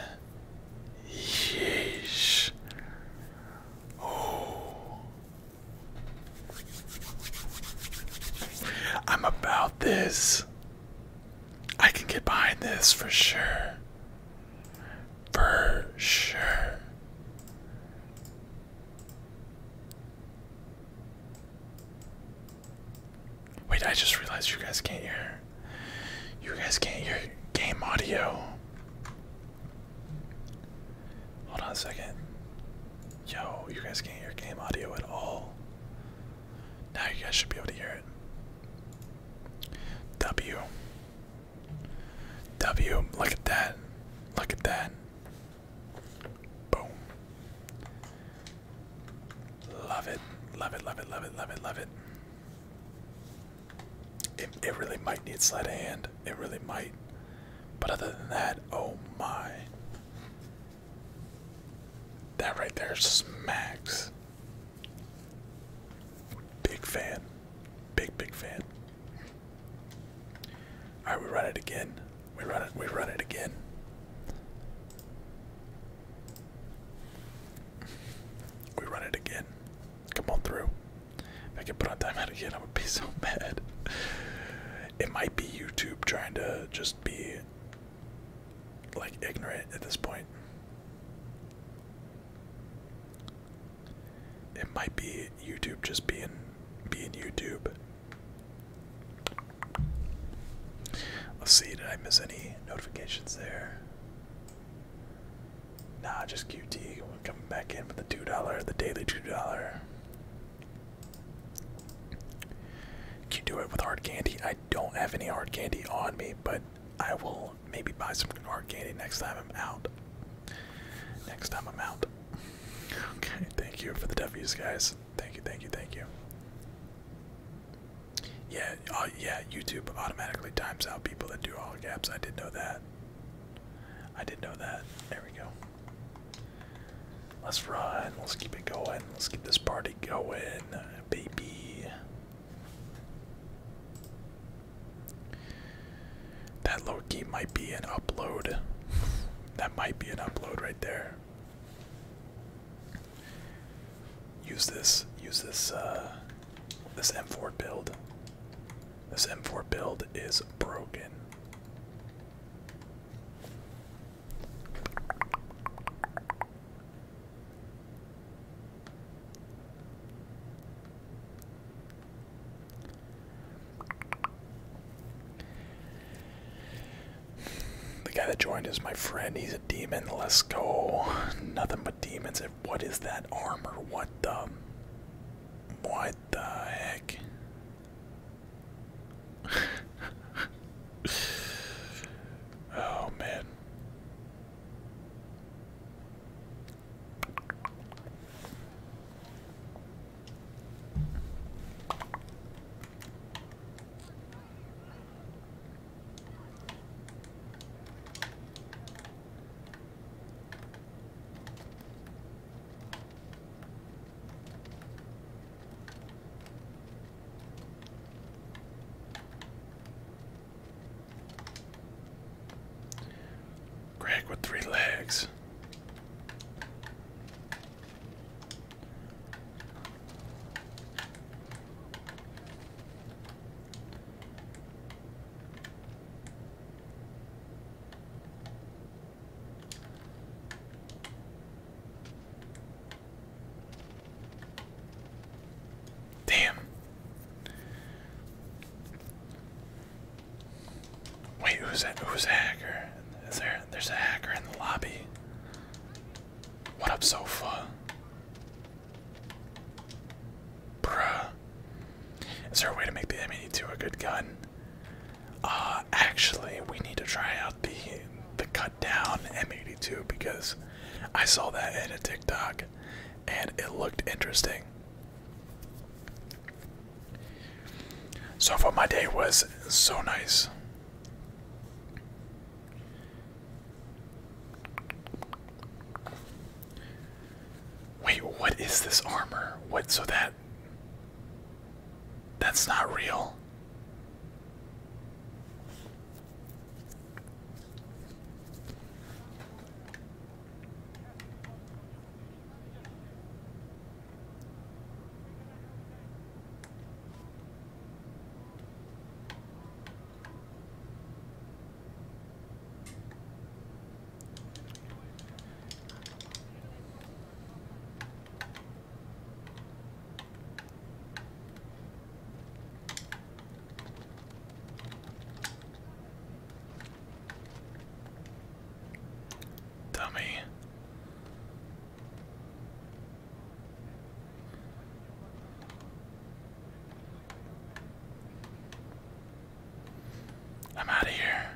Yeesh. Oh. I'm about this. I can get behind this for sure. For sure. Wait, I just realized you guys can't hear. You guys can't hear game audio. Hold on a second. Yo, you guys can't hear game audio at all. Now you guys should be able to hear it. W. W. Look at that. Look at that. Boom. Love it. Love it, love it, love it, love it, love it. It, it really might need sleight of hand it really might. But other than that, oh my. That right there smacks. Big fan. Big big fan. Alright, we run it again. We run it, we run it again. We run it again. Come on through. If I could put on timeout again, I would be so (laughs) mad. It might be YouTube trying to just be like ignorant at this point. It might be YouTube just being being YouTube. Let's see, did I miss any notifications there? Nah, just QT. coming back in for the two dollar, the daily two dollar. Can you do it with hard candy? I don't have any hard candy on me, but I will maybe buy some hard candy next time I'm out. Next time I'm out. Okay, thank you for the W's, guys. Thank you, thank you, thank you. Yeah, uh, yeah. YouTube automatically times out people that do all caps. I did know that. I did know that. There we go. Let's run. Let's keep it going. Let's keep this party going, baby. That low key might be an upload. (laughs) that might be an upload right there. Use this. Use this. Uh, this M4 build. This M4 build is broken. The guy that joined is my friend. He's a demon. Let's go. Nothing but demons. What is that armor? What the? Why the heck? (laughs) oh man. Greg with three legs. Damn. Wait, who's that? Who's a hacker? Is there? There's a hacker in the lobby. What up, sofa? Bruh. Is there a way to make the M82 a good gun? Uh, actually, we need to try out the the cut down M82 because I saw that in a TikTok and it looked interesting. So far, my day was so nice. Wait, what is this armor? What's so that that's not real. Dummy. I'm out of here.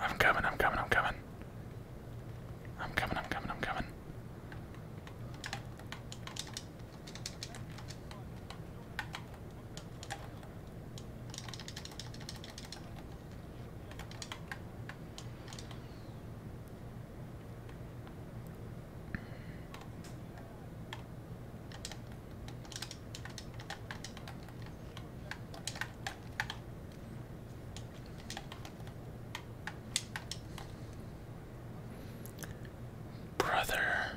I'm coming, I'm coming, I'm coming. I'm coming, I'm coming, I'm coming. Brother.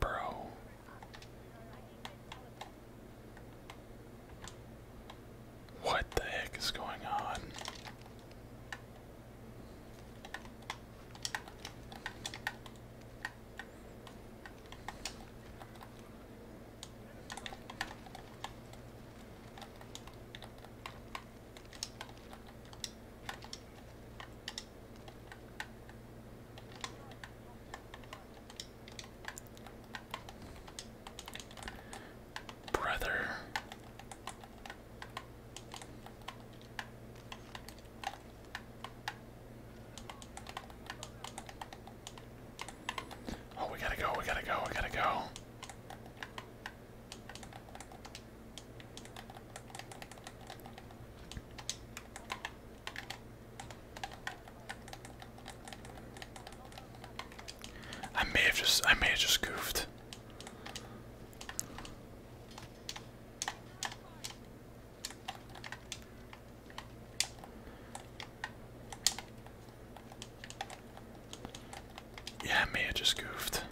Bro. What the heck is going on? Brother. Oh, we gotta go, we gotta go, we gotta go. I may have just I may have just goofed. Yeah, me, I just goofed.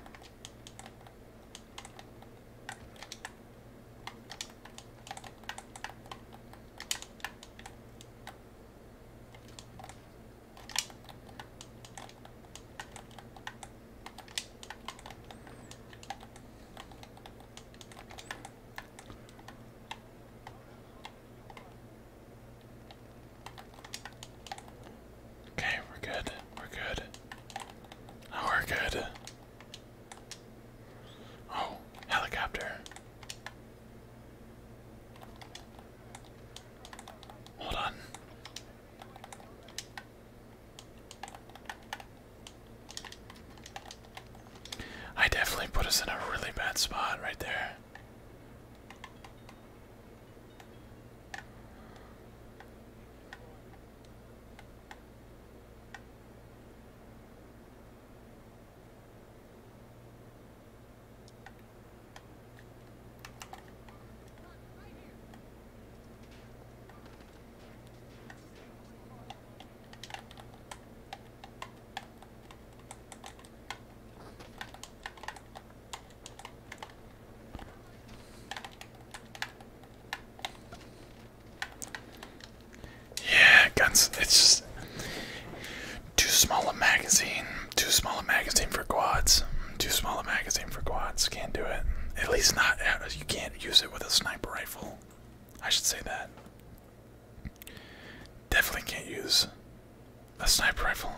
Okay, we're good. We're good. Oh, we're good. Oh, helicopter. Hold on. I definitely put us in a really bad spot right there. Yeah, guns. It's just too small a magazine. Too small a magazine for quads. Too small a magazine for quads. Can't do it. At least not. Uh, you can't use it with a sniper rifle. I should say that. Definitely can't use a sniper rifle.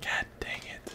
God dang it.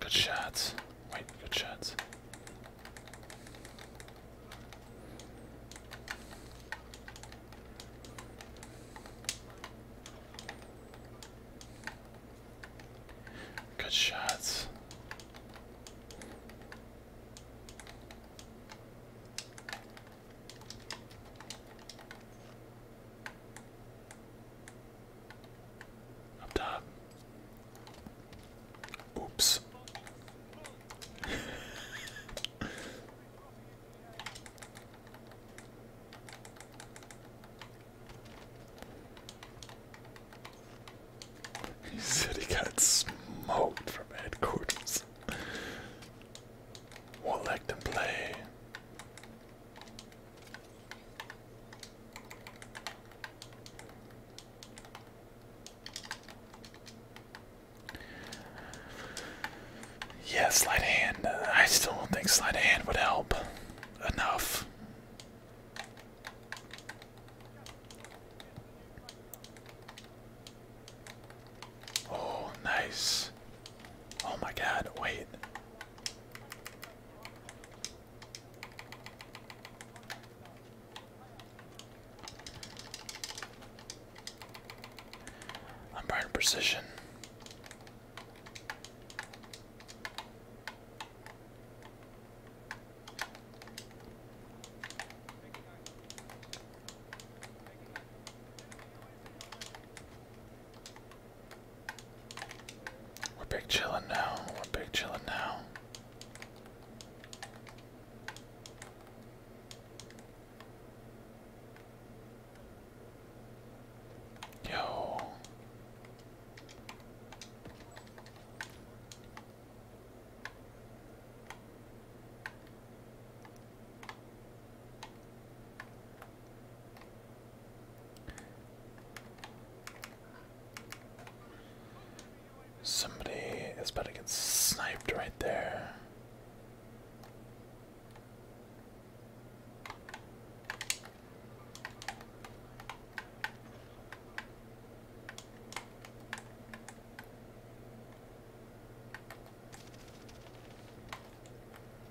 Good shots. Wait, good shots. Good shots. Up top. Oops. (laughs) he said he got smoked from headquarters. Won't them play. Yes, sleight of hand. I still don't think sleight of hand would help enough. Oh, nice. Oh my god, wait. I'm buying precision. We're big chillin' now. We're big chillin' now. Yo. Somebody is about to get sniped right there.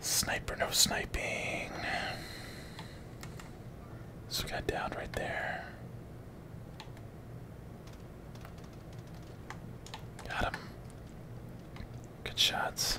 Sniper, no sniping. So got down right there. Got him. Good shots.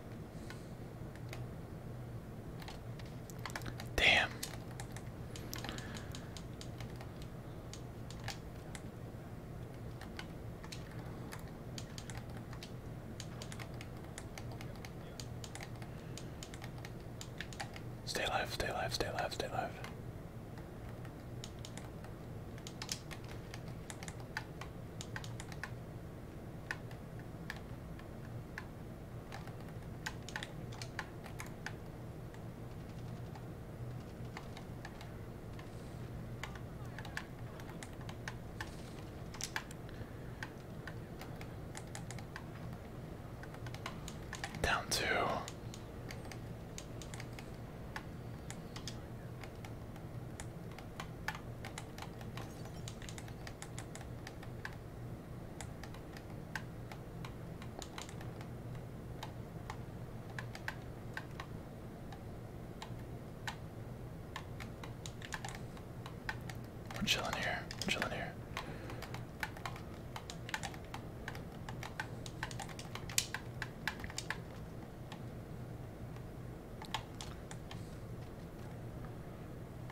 Damn. Stay alive, stay alive, stay alive, stay alive. Down two. We're chilling here. We're chilling here.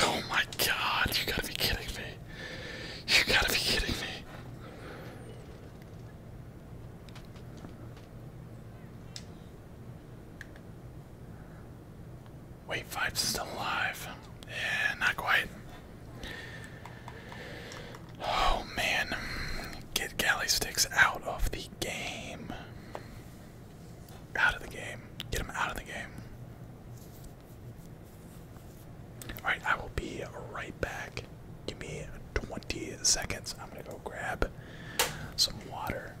Oh my god, you gotta be kidding me. You gotta be kidding me. Wait, five's still alive. Yeah, not quite. Oh man. Get galley sticks out of the game out of the game. Get him out of the game. Alright, I will be right back. Give me 20 seconds. I'm going to go grab some water.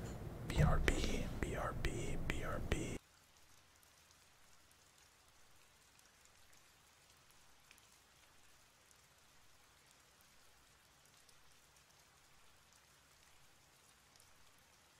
BRB, BRB, BRB.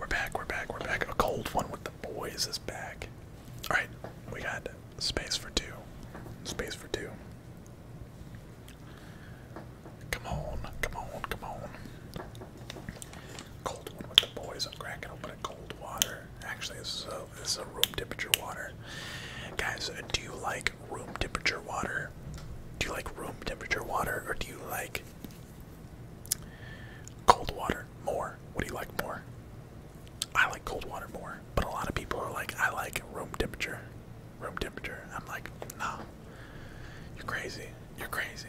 We're back, we're back, we're back. A cold one with the boys is back. Alright, we got space for two. Space for two. Come on, come on, come on. Cold one with the boys. I'm cracking open a cold water. Actually, this is a room temperature water. Guys, uh, do you like room temperature water? Do you like room temperature water, or do you like cold water more? What do you like more? I like cold water more, but a lot of people are like, I like room temperature. Room temperature. I'm like, no. You're crazy. You're crazy.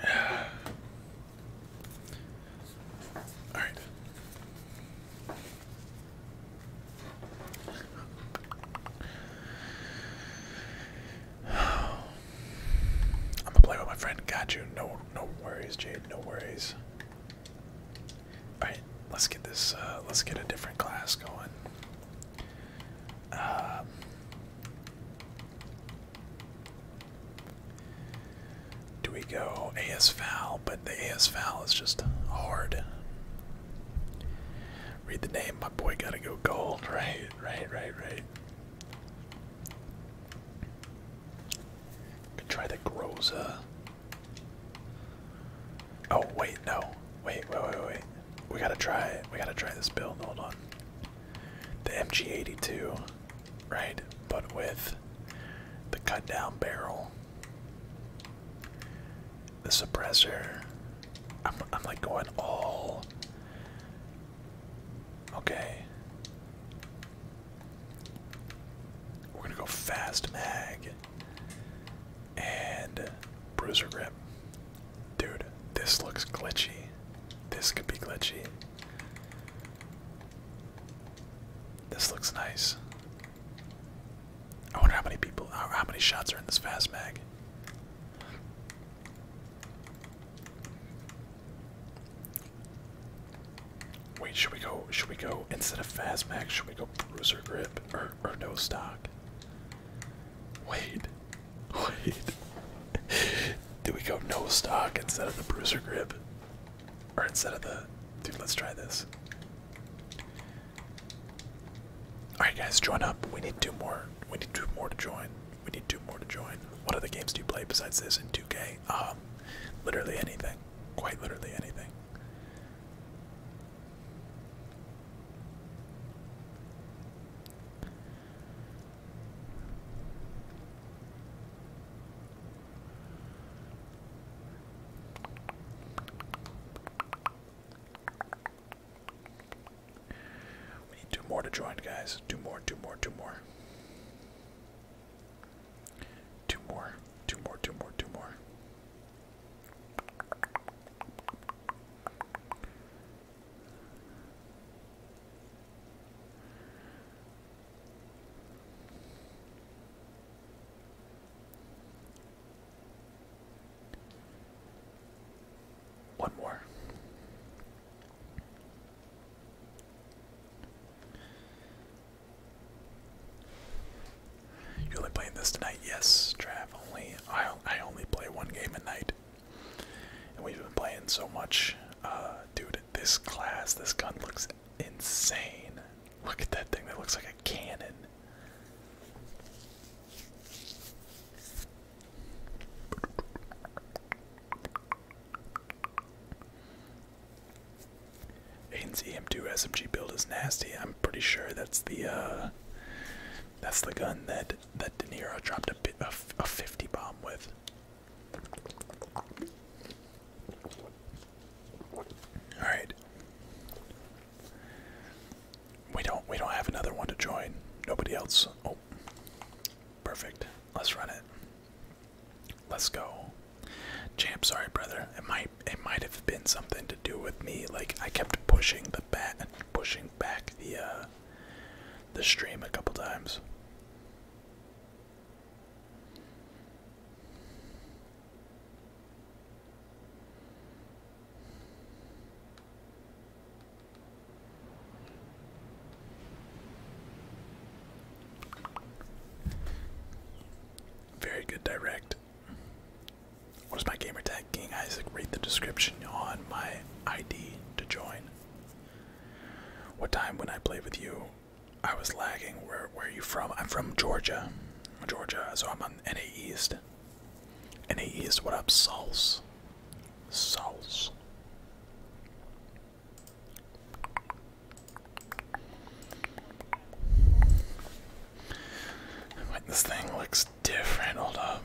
(sighs) All right. I'm gonna play with my friend. Got you. No, no worries, Jade. No worries. All right, let's get this. Uh, let's get a different class going. Um, do we go AS But the AS is just hard. Read the name. My boy gotta go gold. (laughs) Right, right, right, right try the Groza. Oh wait, no. Wait, wait, wait, wait. We gotta try we gotta try this build, hold on. The MG82, right? But with the cut down barrel. The suppressor. I'm I'm like going all Okay. We're gonna go fast mag and bruiser grip. Dude, this looks glitchy. This could be glitchy. This looks nice. I wonder how many people, how many shots are in this fast mag. Wait, should we go? Should we go instead of fast Should we go bruiser grip or or no stock? Wait, (laughs) wait. Do we go no stock instead of the bruiser grip, or instead of the? Dude, let's try this. All right, guys, join up. We need two more. We need two more to join we need two more to join. What other games do you play besides this in 2K? Um, literally anything. Quite literally anything. We need two more to join, guys. Two more, two more, two more. Two more, two more, two more, two more. One more. You only playing this tonight? Yes, Trav. Only I I only play one game a night, and we've been playing so much, uh, dude. This class, this gun looks insane. Look at that thing. That looks like a cannon. Aiden's EM2 SMG build is nasty. I'm pretty sure that's the uh, that's the gun that that De Niro dropped a a 50 bomb with. All right. We don't we don't have another one to join. Nobody else. Oh. Perfect. Let's run it. Let's go. Champ, sorry brother. It might it might have been something to do with me. Like I kept pushing the bat pushing back the uh the stream a couple times. Very good direct. What is my gamertag? King Isaac. Read the description on my ID to join. What time when I play with you? I was lagging. Where where are you from? I'm from Georgia. Georgia, so I'm on NA East. NA East, what up, Souls? sauce. this thing looks different. Hold up.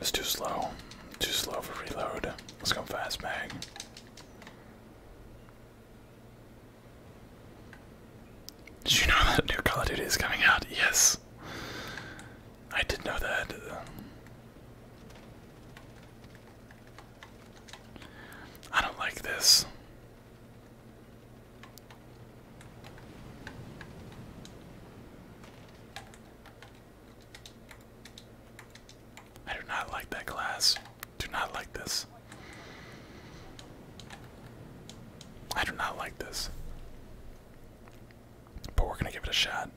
It's too slow. Too slow for reload. Let's go fast mag. Did you know that new Call of Duty is coming out? Yes. I did know that. I don't like this. I do not like that glass. Do not like this. I do not like this. But we're gonna give it a shot.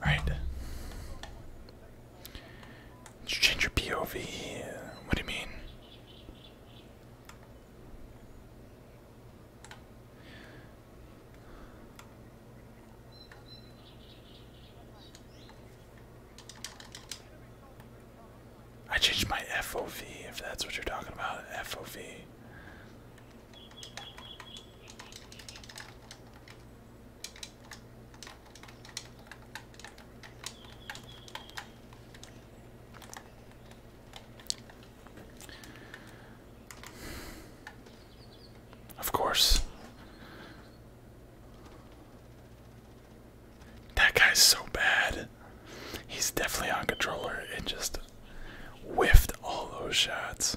Alright. change your POV? What do you mean? I changed my FOV if that's what you're talking about. FOV. Of course. That guy's so bad. He's definitely on controller and just whiffed all those shots.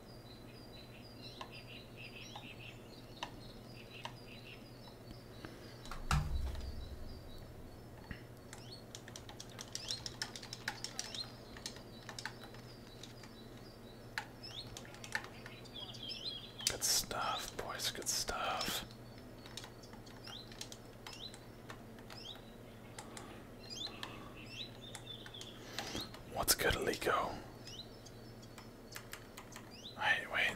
Good stuff, boys, good stuff. What's good, Alico? Wait, wait.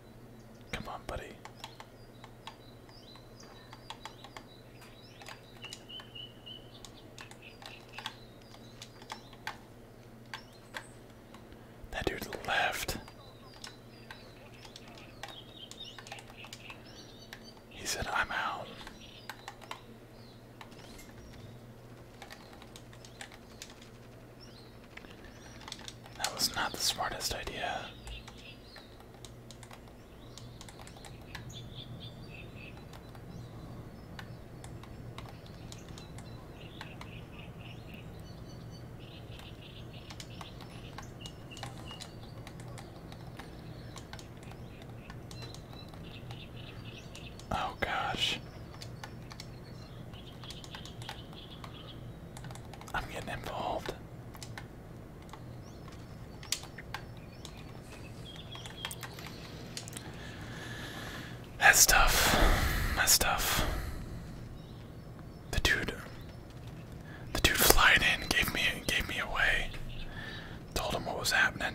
Come on, buddy. That dude left. He said, I'm out. That was not the smartest idea. Oh, gosh. I'm getting involved. That's tough. That's tough. The dude The dude flying in gave me gave me away. Told him what was happening.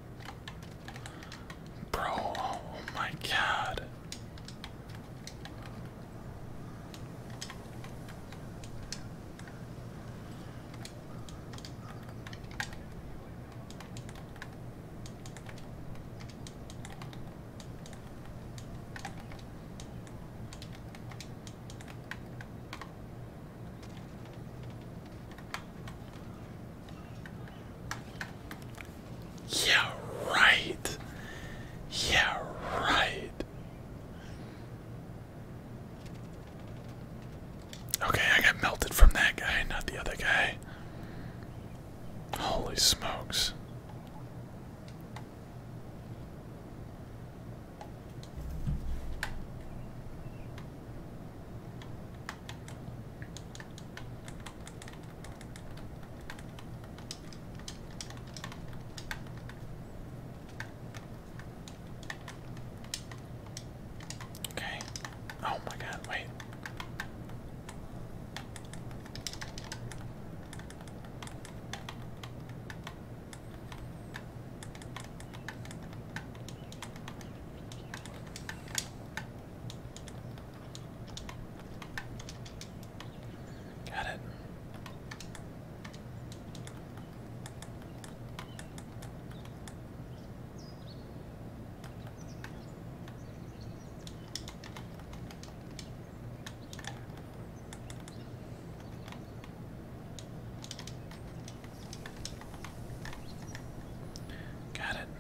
Bro, oh my god. Yeah, right. Yeah, right. Okay, I got melted from that guy, not the other guy. Holy smokes. Okay. Oh my god, wait. Got it. Got it.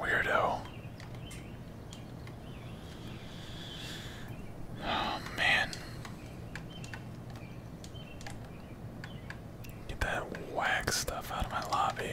Weirdo. Oh man. Get that whack stuff out of my lobby.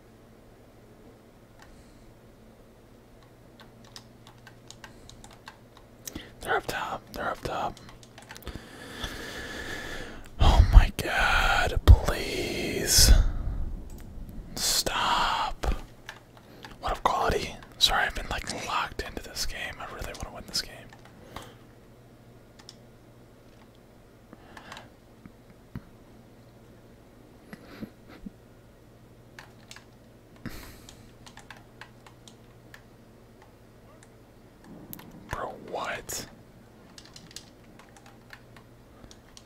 They're up top. They're up top. Oh my god, please. Stop. What of quality? Sorry, I've been like locked into this game. I really want to win this game. Bro, what?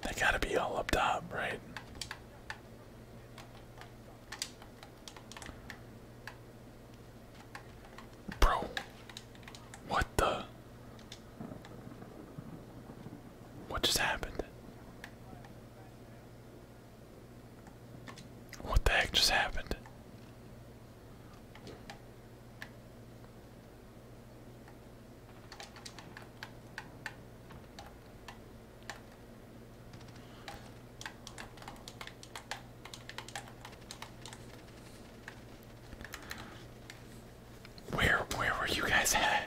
They gotta be all up top, right? Bro, what the? What just happened? What the heck just happened? Where where were you guys at?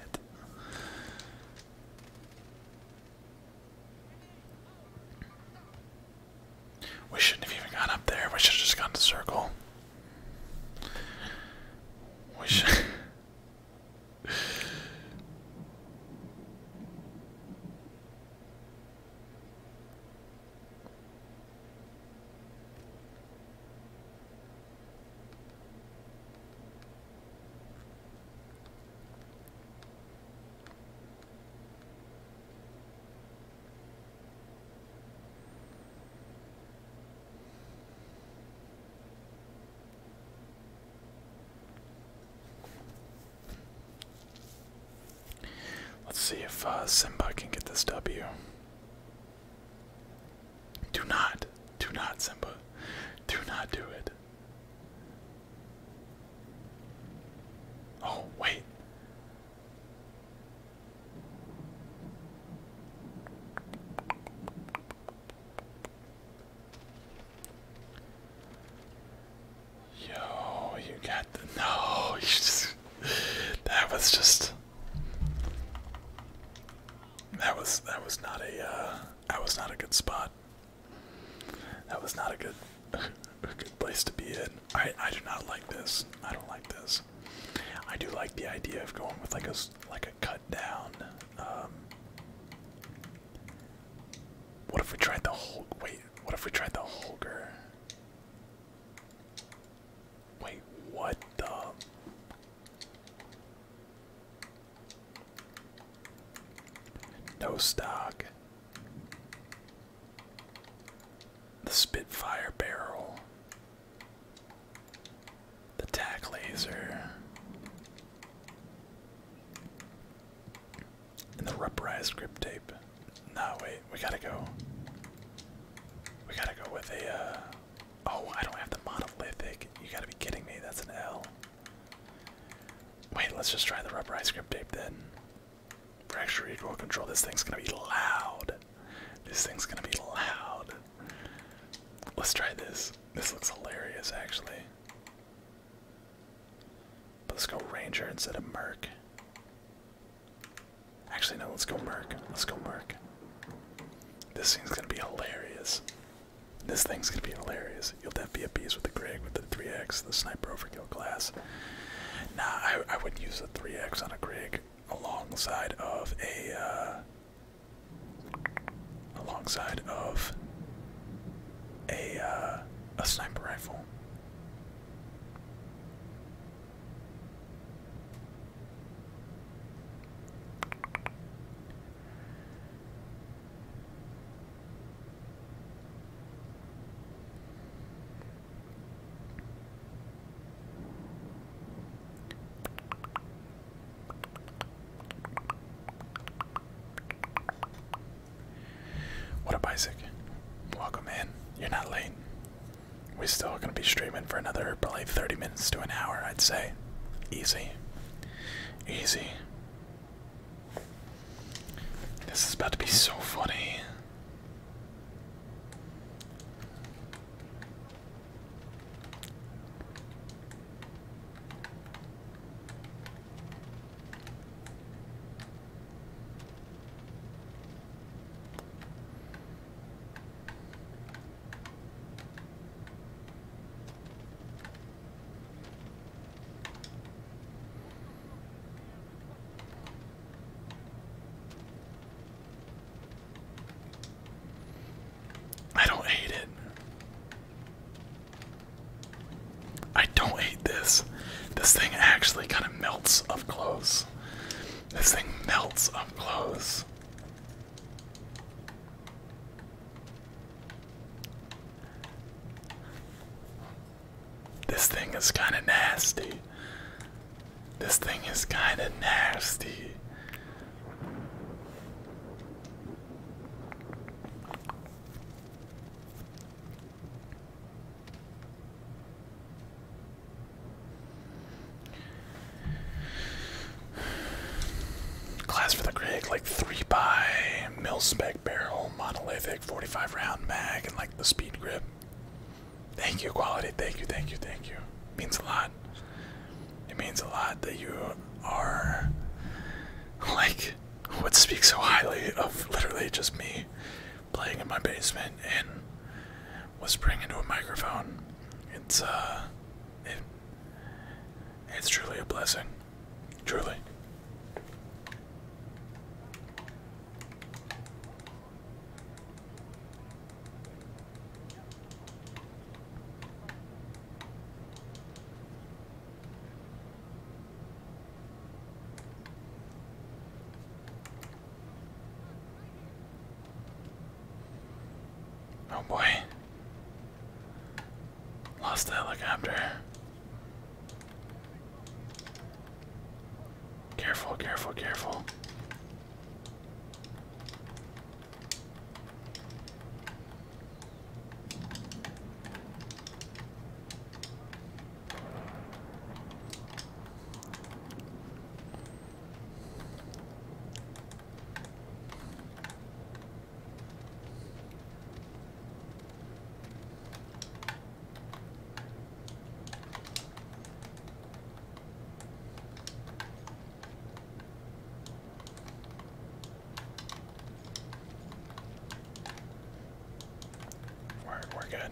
We shouldn't have even gone up there. We should have just gone to circle. We should (laughs) Let's see if uh, Simba can get this W. Do not, do not, Simba. Do not do it. Oh, wait. Yo, you got the no. (laughs) that was just. That was that was not a uh, that was not a good spot. That was not a good (laughs) good place to be in. I I do not like this. I don't like this. I do like the idea of going with like a like a cut down. Um, what if we tried the whole? Wait, what if we tried the Holger? Wait, what the? No stock. The Spitfire barrel. The tack laser. And the rubberized grip tape. No, wait, we gotta go. We gotta go with a, uh, Oh, I don't have the monolithic. You gotta be kidding me. That's an L. Wait, let's just try the rubberized grip tape then. Fracture equal control. This thing's gonna be loud. This thing's gonna be loud. Let's try this. This looks hilarious, actually. But let's go Ranger instead of Merc. Actually, no, let's go Merc. Let's go Merc. This thing's gonna be hilarious. This thing's gonna be hilarious. You'll have be a beast with the Greg with the 3x, the sniper overkill class. Nah, I, I would use the 3x on a Greg alongside of a uh, alongside of a uh, a sniper rifle. What a Isaac? Welcome in. You're not late. We're still gonna be streaming for another probably 30 minutes to an hour, I'd say. Easy. Easy. This is about to be so funny. I don't hate it. I don't hate this. This thing actually kind of melts up close. This thing melts up close. This thing is kind of nasty. This thing is kind of nasty. Class for the Greg, like 3 by mil spec barrel, monolithic, 45 round mag, and like the speed grip. Thank you, quality. Thank you, thank you, thank you. means a lot. It means a lot that you are like what speaks so highly of literally just me playing in my basement and whispering into a microphone. It's uh it it's truly a blessing. Truly. Oh boy. Lost the helicopter. Careful, careful, careful. We're, we're good.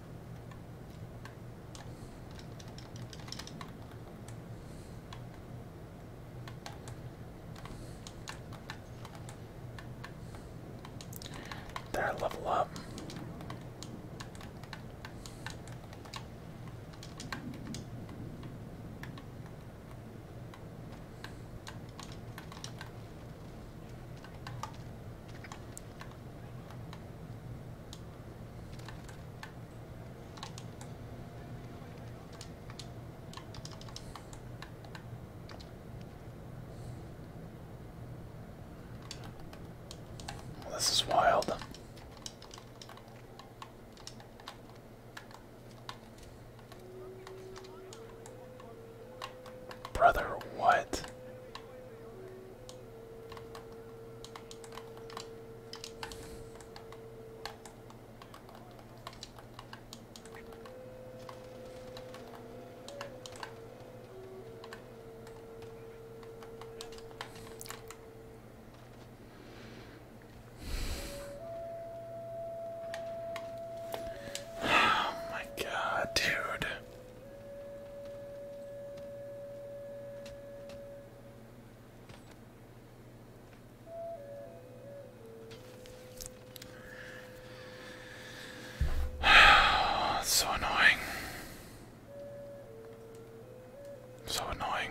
There, level up. This is wild. Brother, what? (sighs) Oh my god, dude so annoying. So annoying.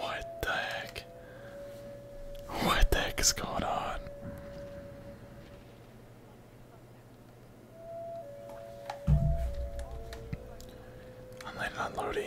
What the heck? What the heck is going on? I'm landing on Lodi.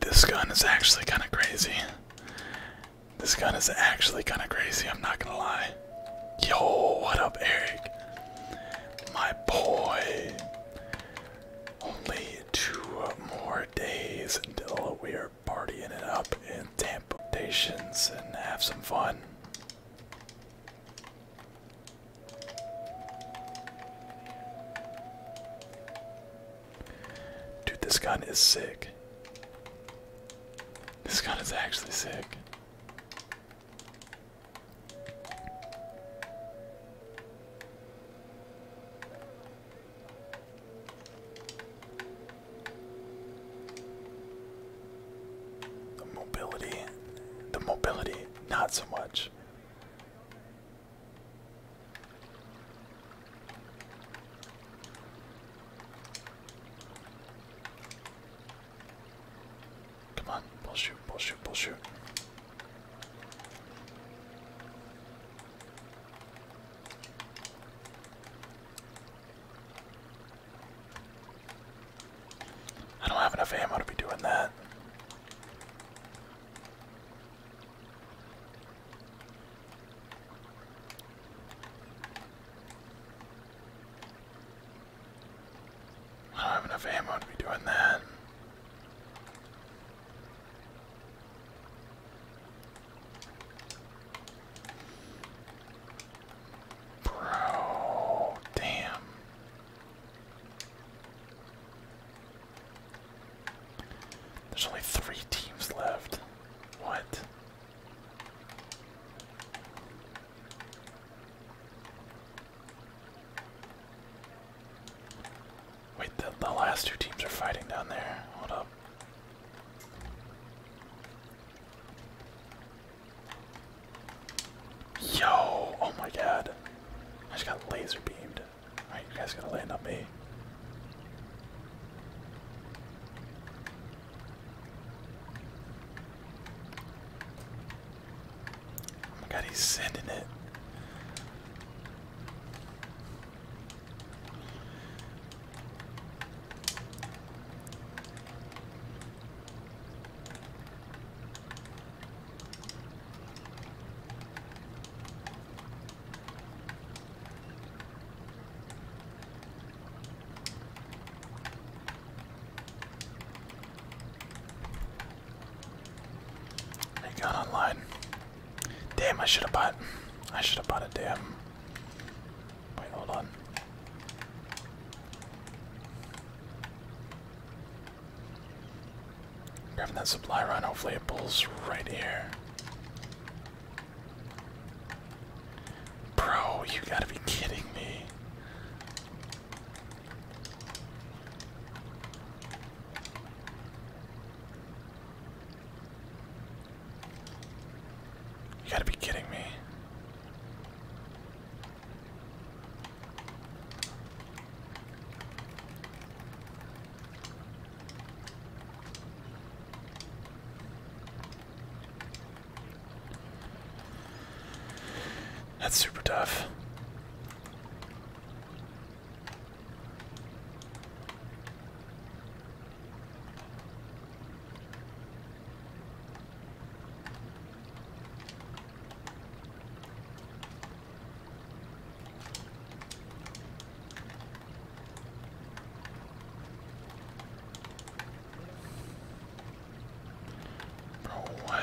This gun is actually kind of crazy. This gun is actually kind of crazy, I'm not gonna lie. Yo, what up, Eric? My boy. Only two more days until we're partying it up in Tampa Stations and have some fun. Dude, this gun is sick. This gun is actually sick. The mobility, the mobility, not so much. Come on, bull shoot, bull shoot, bull shoot. I don't have enough ammo to be doing that. I don't have enough ammo to be doing that. Bro, damn. There's only three teams left. What? Wait, the, the last two teams are fighting down there. Hold up. Yo! Oh my god. I just got laser beamed. Alright, you guys gotta land on me. Oh my god, he's sending it. They got online. Damn, I should have bought. I should have bought a damn. Wait, hold on. Grabbing that supply run, hopefully it pulls right here. Bro, you gotta be kidding me. You gotta be kidding me. That's super tough. Bro, what?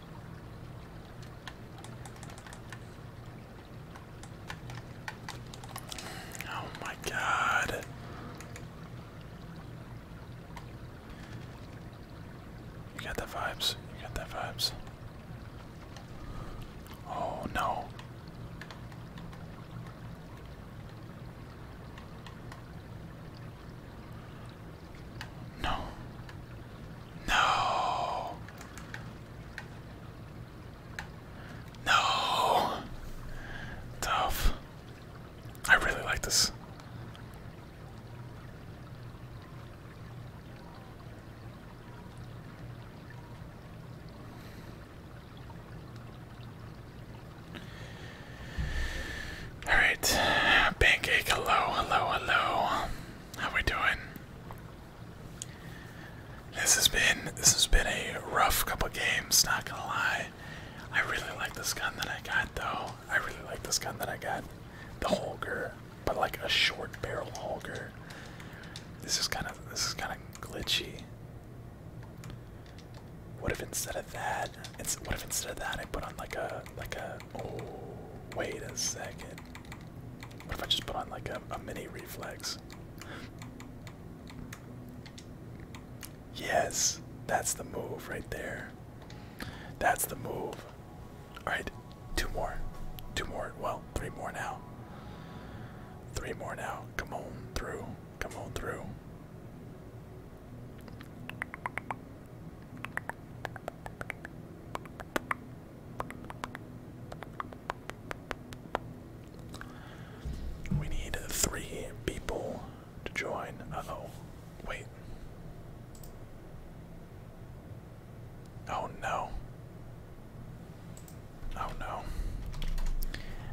Oh my god. You got the vibes. You got the vibes. Oh no. No. No. No. Tough. I really like this. All right, pancake. Hello, hello, hello. How we doing? This has been this has been a rough couple games, not gonna lie. I really like this gun that I got though. I really like this gun that I got. The Holger, but like a short barrel Holger. This is kind of this is kind of glitchy. What if instead of that, it's what if instead of that I put on like a like a oh wait a second. What if I just put on like a, mini reflex? Yes, that's the move right there. That's the move. Alright, two more. Two more. Well, three more now. Three more now. Come on through. Come on through. We need three people to join. Uh oh. Wait. Oh no. Oh no.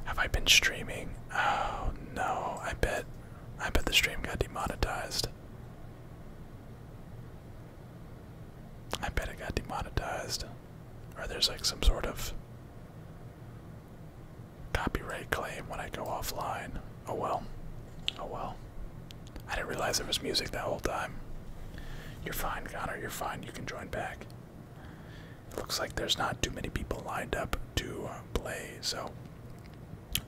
Have I been streaming? Oh no. I bet I bet the stream got demonetized. I bet it got demonetized. Or there's like some sort of copyright claim when I go offline. Oh well. Oh well. I didn't realize there was music that whole time. You're fine, Connor. You're fine. You can join back. It looks like there's not too many people lined up to play, so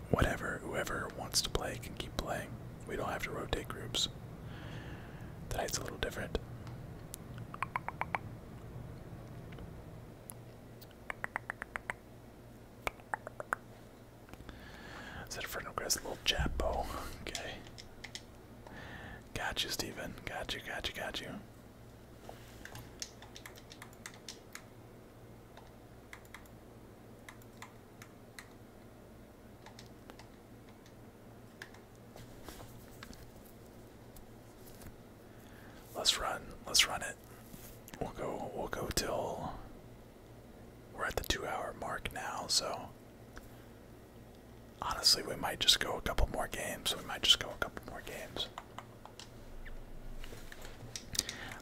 whatever, whoever wants to play can keep playing. We don't have to rotate groups. Tonight's a little different. Is that Inferno Grass, little Chapo? Okay. Got you, Steven. Got you, got you, got you. Let's run. Let's run it. We'll go we'll go till we're at the 2 hour mark now, so honestly, we might just go a couple more games. We might just go a couple more games.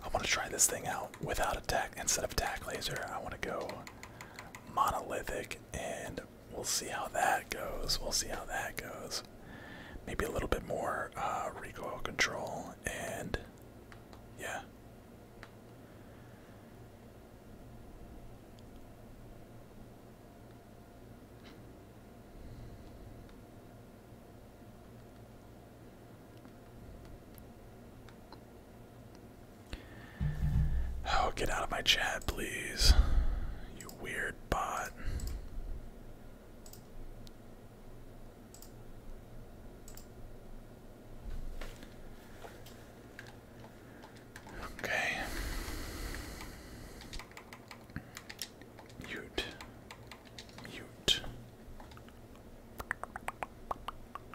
I want to try this thing out without a tack instead of tack laser. I want to go monolithic, and we'll see how that goes. We'll see how that goes. Maybe a little bit more uh, recoil control, and yeah. Oh, get out of my chat, please. You weird bot. Okay. Mute. Mute.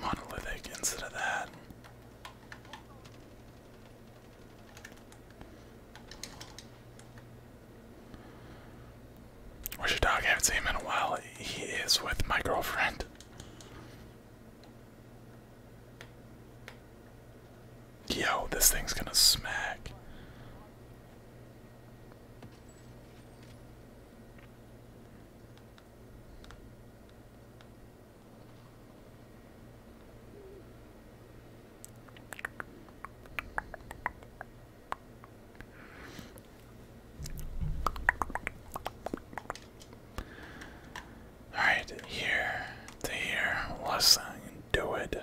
Monolithic instead of that. your dog? I haven't seen him in a while. He is with my girlfriend. Yo, this thing's gonna smack. All right, here here, let's do it.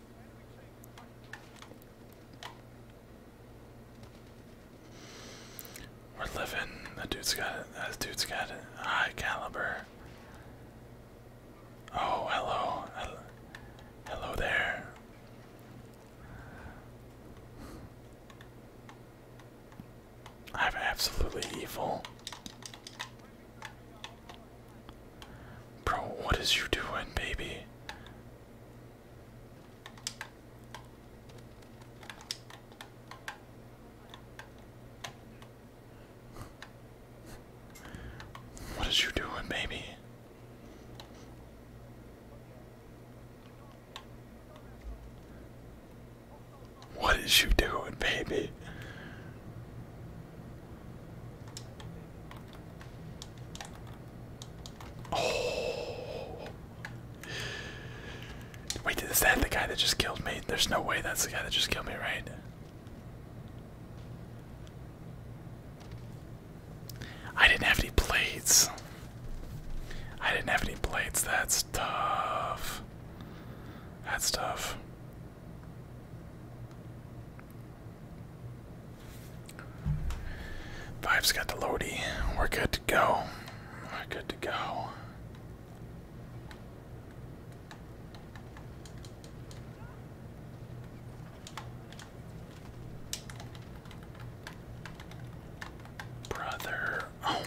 we're living. That dude's got it. That dude's got High caliber. Oh, Hello, hello there. I'm absolutely evil. Bro, what is you doing, baby? What is you doing, baby? What is you doing, baby? Oh. Wait, is that the guy that just killed me? There's no way that's the guy that just killed me, right? I didn't have any blades. I didn't have any blades. That's tough. That's tough. 5 has got the loady. We're good to go. We're good to go. Brother, oh.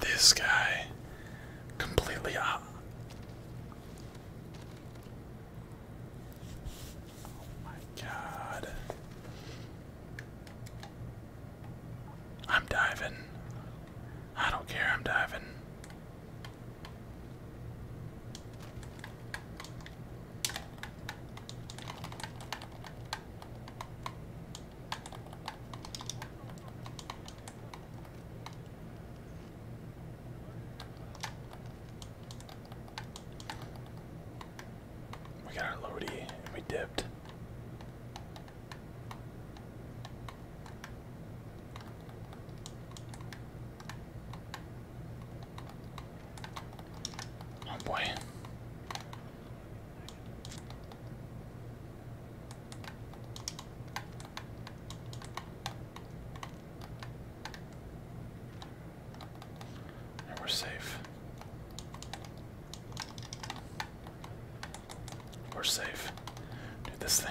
This guy completely up. Uh, oh my god. I'm diving. I don't care, I'm diving. We got our loady and we dipped. Oh boy we're safe. We're safe. Do this thing.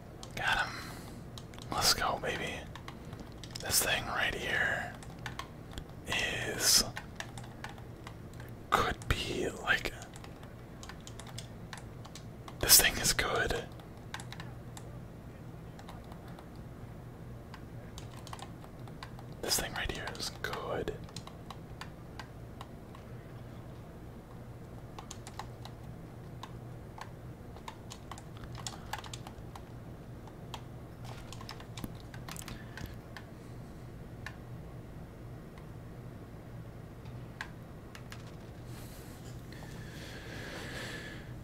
Got him. Let's go, baby. This thing right here is. Could be like. This thing is good. This thing right here is good.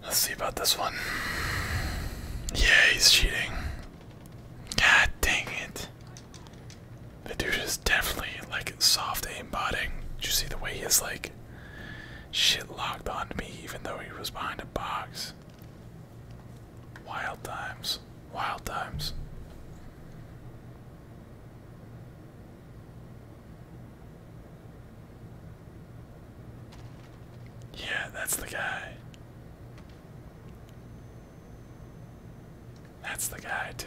Let's see about this one. Yeah, he's cheating. God dang it. The dude is definitely like soft aimbotting. Do you see the way he is like Shit locked onto me even though he was behind a box. Wild times. Wild times. Yeah, that's the guy. That's the guy, too.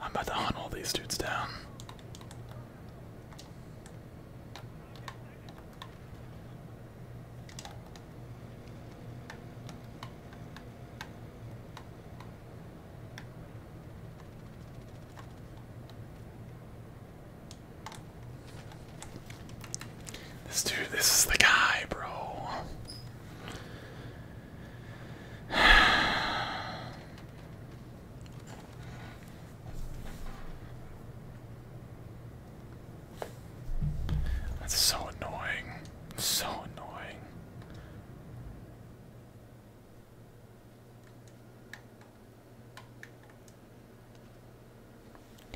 I'm about to hunt all these dudes down. This dude, this is the guy, bro. That's so annoying. So annoying.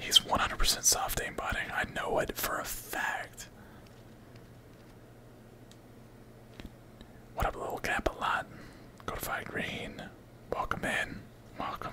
He's 100% soft aimbotting. I know it for a fact. What up, little Capulet? a green. Welcome in. Welcome.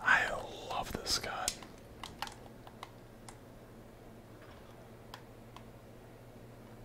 I love this gun.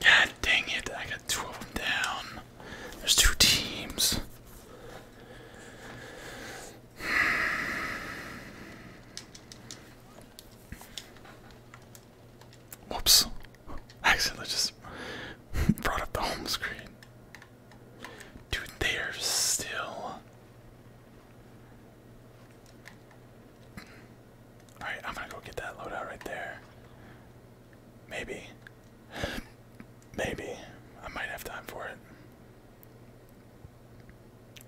God dang it, I got two of them down. There's two teams. (sighs) Whoops. I (laughs) accidentally just (laughs) brought up the home screen. Dude, they are still. Alright, I'm gonna go get that loadout right there. Maybe. (sighs) Maybe. I might have time for it.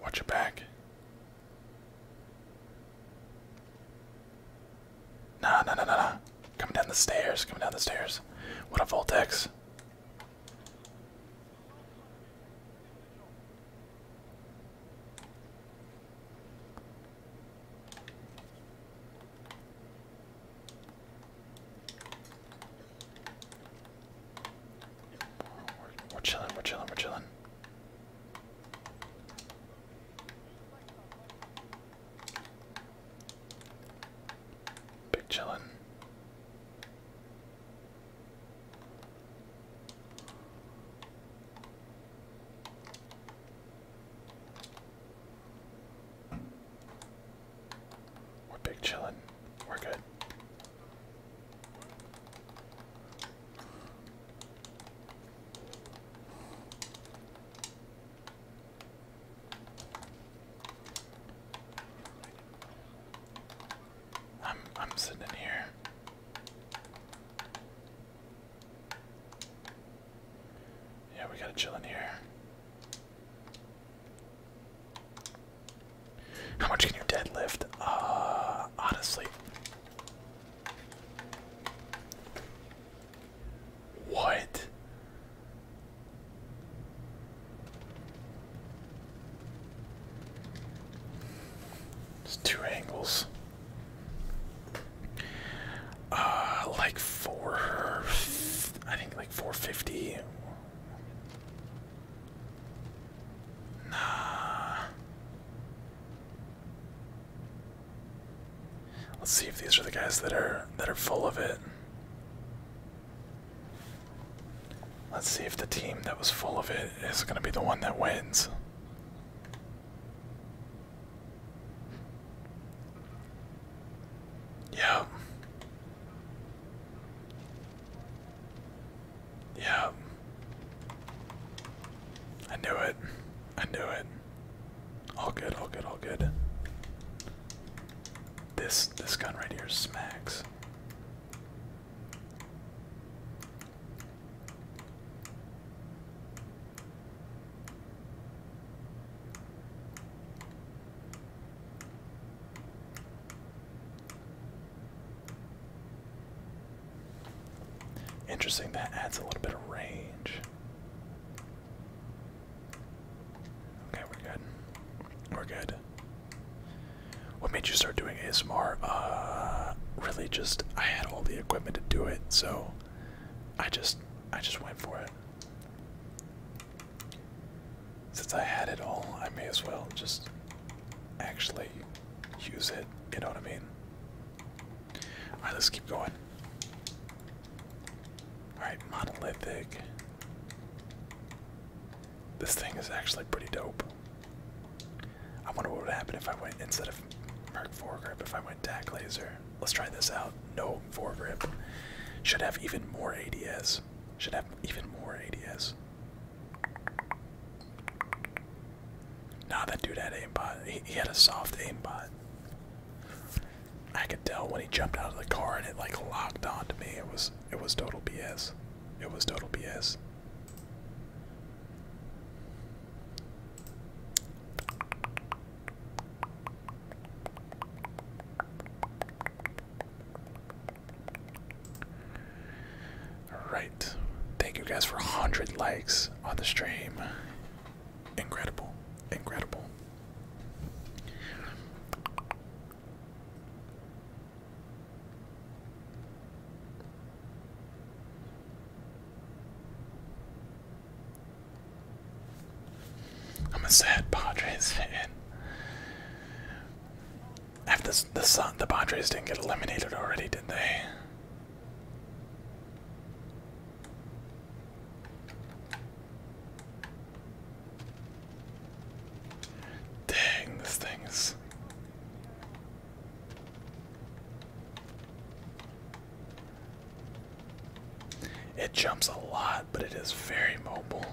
Watch your back. Nah, nah, nah, nah, nah. Coming down the stairs, coming down the stairs. What a vortex! we're chilling, we're chilling, we're chilling. Big chillin'. We're big chillin'. We're good. I'm I'm sitting here. Yeah, we gotta chill in here. How much can you deadlift? Uh honestly. What? It's two angles. Uh, like four, I think like 450. Nah. Let's see if these are the guys that are that are full of it. Let's see if the team that was full of it is going to be the one that wins. Yep. Yep. I knew it. I knew it. All good, all good, all good. This this gun right here smacks. Interesting, that adds a little bit of range. Okay, we're good. We're good. What made you start doing ASMR? Uh, really, just I had all the equipment to do it, so I just I just went for it. Since I had it all, I may as well just actually use it. You know what I mean? All right, let's keep going. Alright, monolithic. This thing is actually pretty dope. I wonder what would happen if I went instead of Merc foregrip, if I went tack laser. Let's try this out. No foregrip. Should have even more ADS. Should have even more ADS. Nah, that dude had aimbot. He, he had a soft aimbot. I could tell when he jumped out of the car and it like locked onto me. It was it was total BS. It was total BS. Alright. Thank you guys for 100 likes on the stream. Incredible. Incredible. I'm a sad Padres fan. After the the, the Padres didn't get eliminated already, did they? Dang, this thing is. It jumps a lot, but it is very mobile.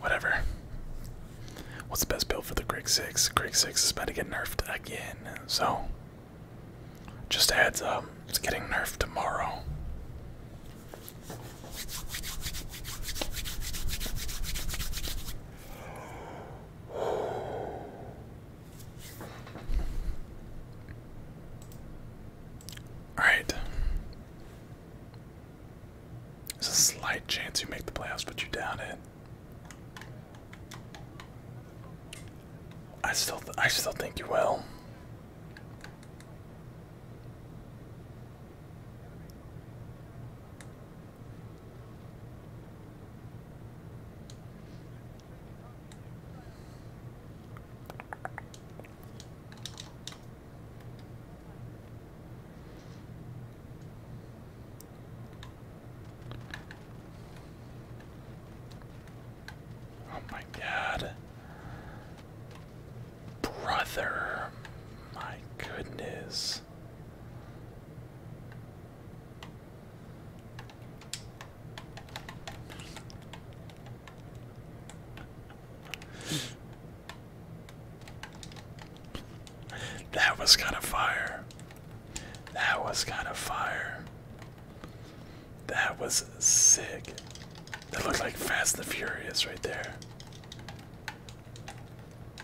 Whatever. What's the best build for the Greg 6? Greg 6 is about to get nerfed again, so just a heads up, it's getting nerfed tomorrow. Alright. There's a slight chance you make the playoffs, but you doubt it. I still I still think you will. Oh my god. Brother. My goodness. That was kind of fire. That was kind of fire. That was sick. That looked like Fast and Furious right there.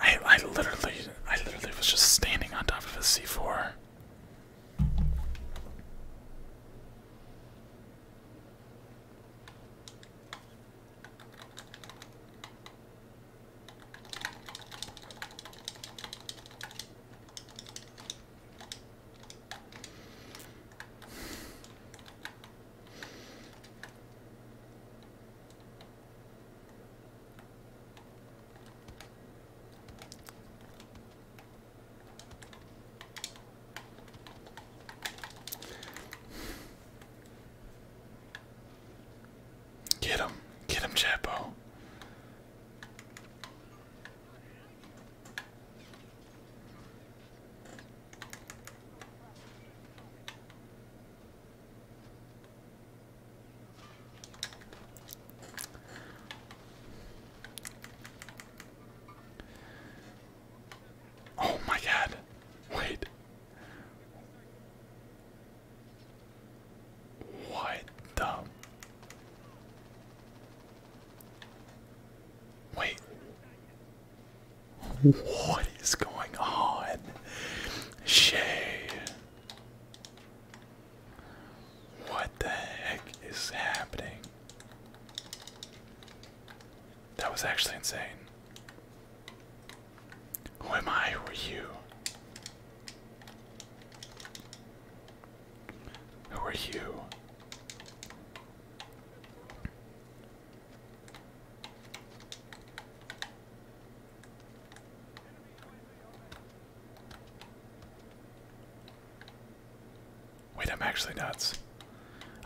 I I literally I literally was just standing on top of a C4. Get him. Get him, Chapo. Oh my god. Wait. What the Wait. What is going on? Shay. What the heck is happening? That was actually insane. Who am I? Who are you? Who are you? Wait, I'm actually nuts.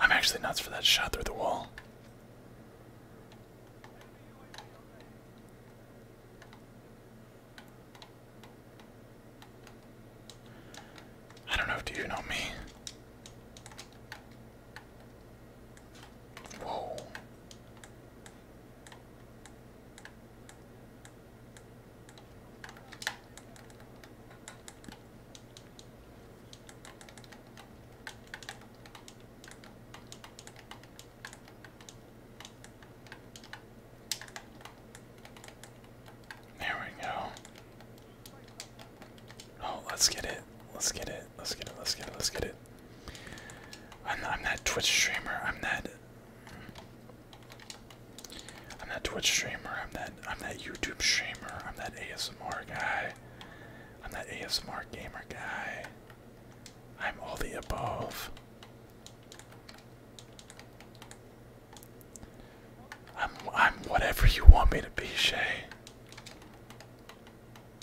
I'm actually nuts for that shot through the wall. I don't know, do you know me? Whoa. There we go. Oh, let's get it. Let's get it. Let's get it. Let's get it. Let's get it. I'm not, I'm not Twitch streamer. I'm that. I'm not Twitch streamer. I'm that. I'm not YouTube streamer. I'm that ASMR guy. I'm that ASMR gamer guy. I'm all the above. I'm I'm whatever you want me to be, Shay.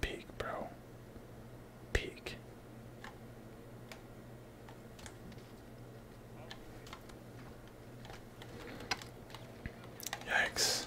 Peak, bro. Peak. Yikes.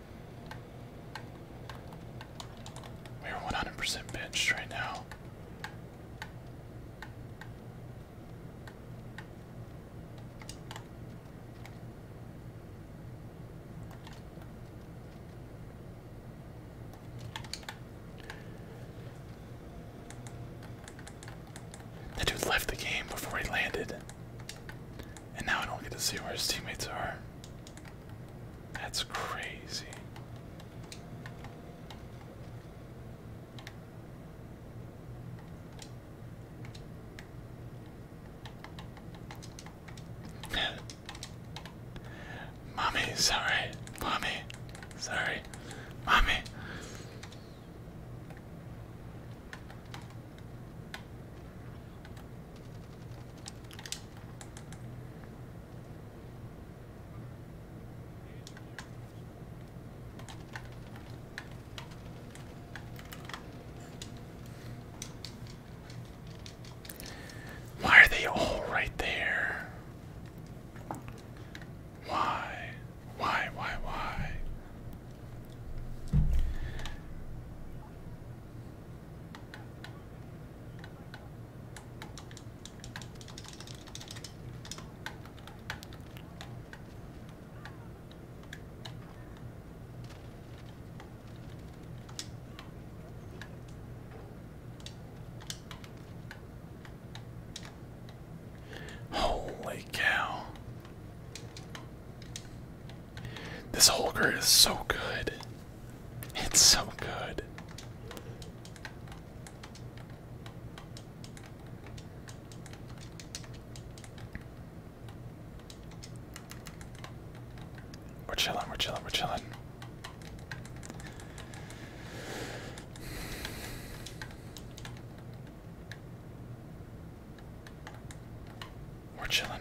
We are 100% benched right now. That dude left the game before he landed. And now I don't get to see where his teammates are. That's crazy. (laughs) Mommy, sorry. Mommy, sorry. Mommy. Why are they all right there? Why? Why, why, why? Holy cow. This Holger is so good. It's so good. We're chilling, we're chilling, we're chilling. We're chilling.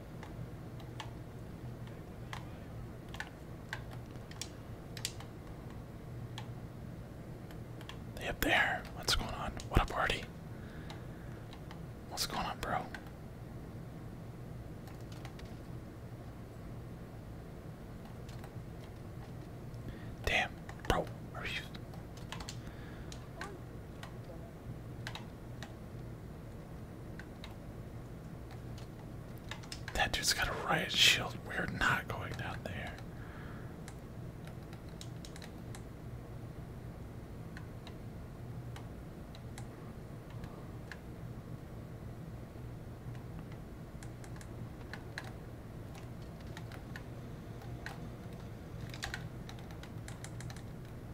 up there. What's going on? What up, Artie? What's going on, bro? Damn, bro, are you? That dude's got a riot shield. We're not going down there.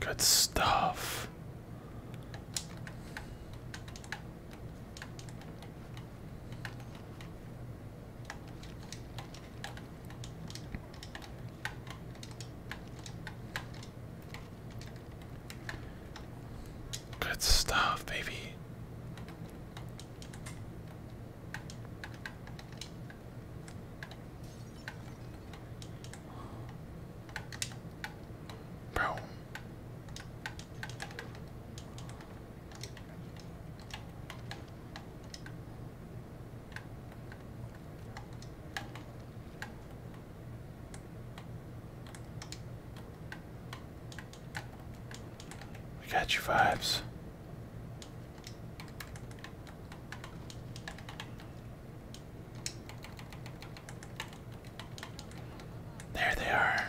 Good stuff. Good stuff, baby. Bro. We got your vibes. There they are.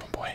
Oh boy.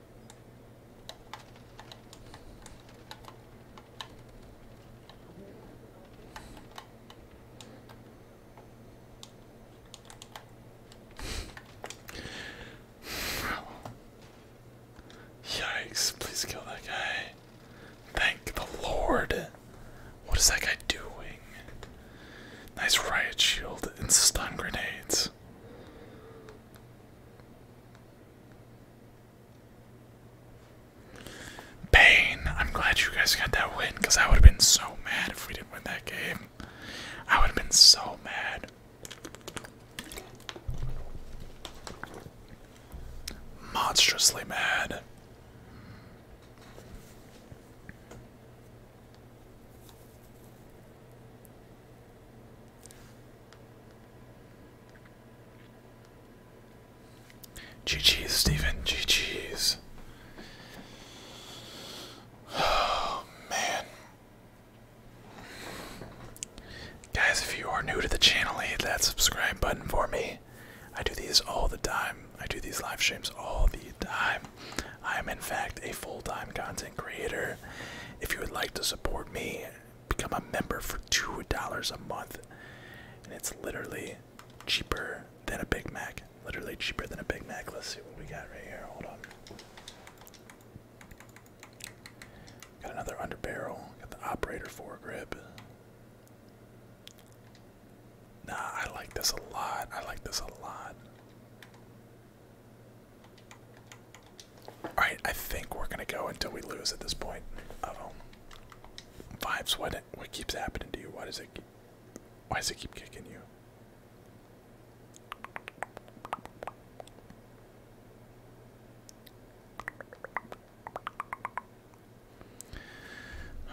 Yikes, please kill that guy. Thank the Lord. What is that guy doing? Nice riot shield and stun grenades. Pain. I'm glad you guys got that win because I would have been so mad if we didn't win that game. I would have been so mad. Monstrously mad. GG's, Steven. GG's. Oh, man. Guys, if you are new to the channel, hit that subscribe button for me. I do these all the time. I do these live streams all the time. I am, in fact, a full time content creator. If you would like to support me become a member for $2 a month. And it's literally cheaper than a Big Mac. Literally cheaper than a Big Mac. Let's see what we got right here. Hold on. Got another under barrel. Got the operator foregrip. Nah, I like this a lot. I like this a lot. Alright, I think we're gonna go until we lose at this point. Uh oh. Vibes, what what keeps happening to you? Why does it keep, why does it keep kicking you?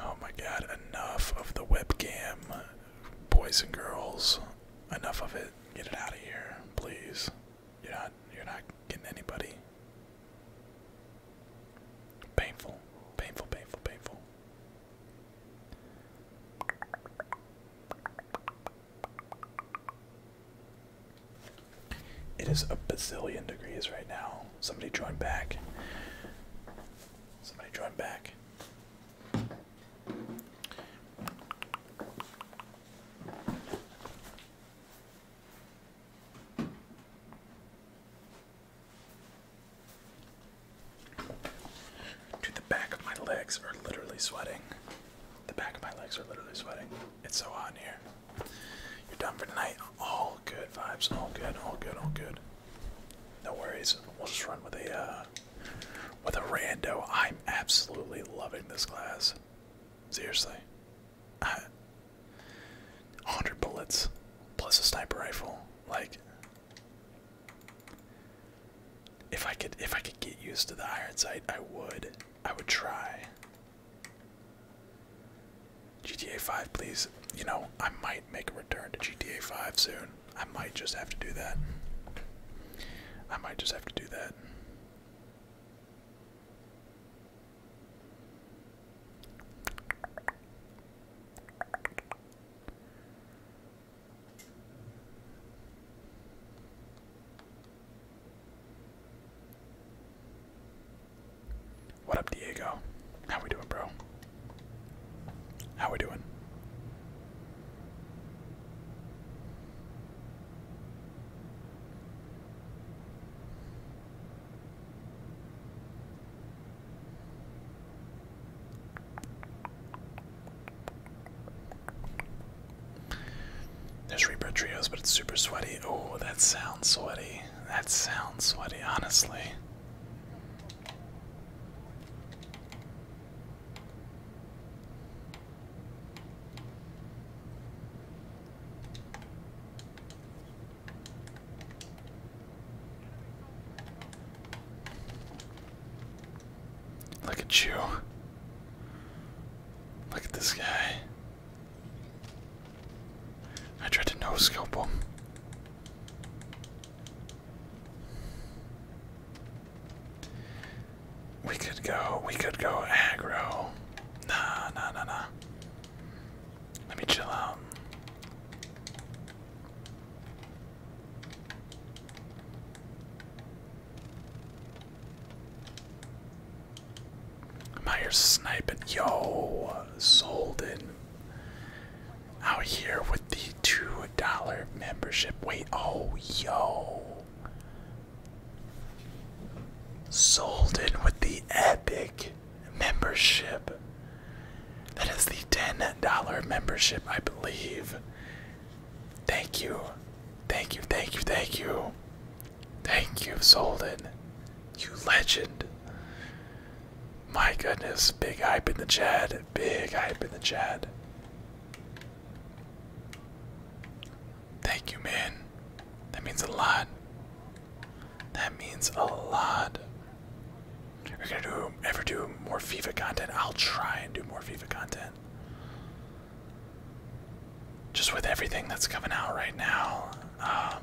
Oh my god, enough of the webcam. Boys and girls, enough of it. Get it out of here, please. You're not you're not getting anybody. Painful. Painful, painful, painful. It is a bazillion degrees right now. Somebody join back. Somebody join back. Dude, the back of my legs are literally sweating. The back of my legs are literally sweating. It's so hot in here. You're done for tonight. All good vibes. All good. All good. All good. No worries. We'll just run with a uh, with a rando. I'm absolutely loving this class. Seriously. I, 100 bullets plus a sniper rifle. Like if I could if I could get used to the iron sight, I would. I would try. GTA 5, please. You know, I might make a return to GTA 5 soon. I might just have to do that. I might just have to do that. What up, Diego? How we doing, bro? How we doing? There's Reaper Trios, but it's super sweaty. Oh, that sounds sweaty. That sounds sweaty, honestly. Look at you. Look at this guy. I tried to no scope him. We could go, we could go aggro. Nah, nah, nah, nah. Let me chill out. am out here sniping. Yo, Solden. Out here with the $2 membership. Wait, oh, yo. Sold in with the epic membership. That is the $10 membership, I believe. Thank you. Thank you, thank you, thank you. Thank you, Solden. You legend. My goodness, big hype in the chat. Big hype in the chat. Thank you, man. That means a lot. That means a lot. are gonna do ever do more FIFA content. I'll try and do more FIFA content. Just with everything that's coming out right now. Um,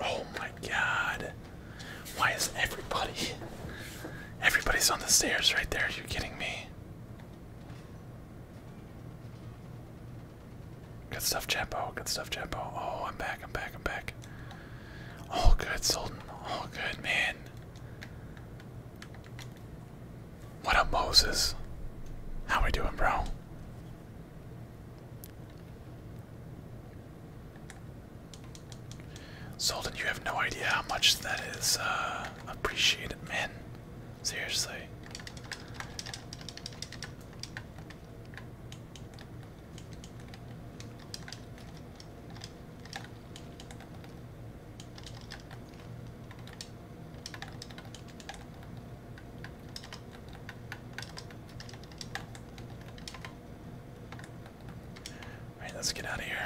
Oh my god. Why is everybody everybody's on the stairs right there? Are you kidding me? Good stuff, Chapo. Good stuff, Chapo. Oh, I'm back. I'm back. I'm back. All good, Sultan. All good, man. What up, Moses? How we doing, bro? Solden, you have no idea how much that is uh, appreciated, man. Seriously. Alright, let's get out of here.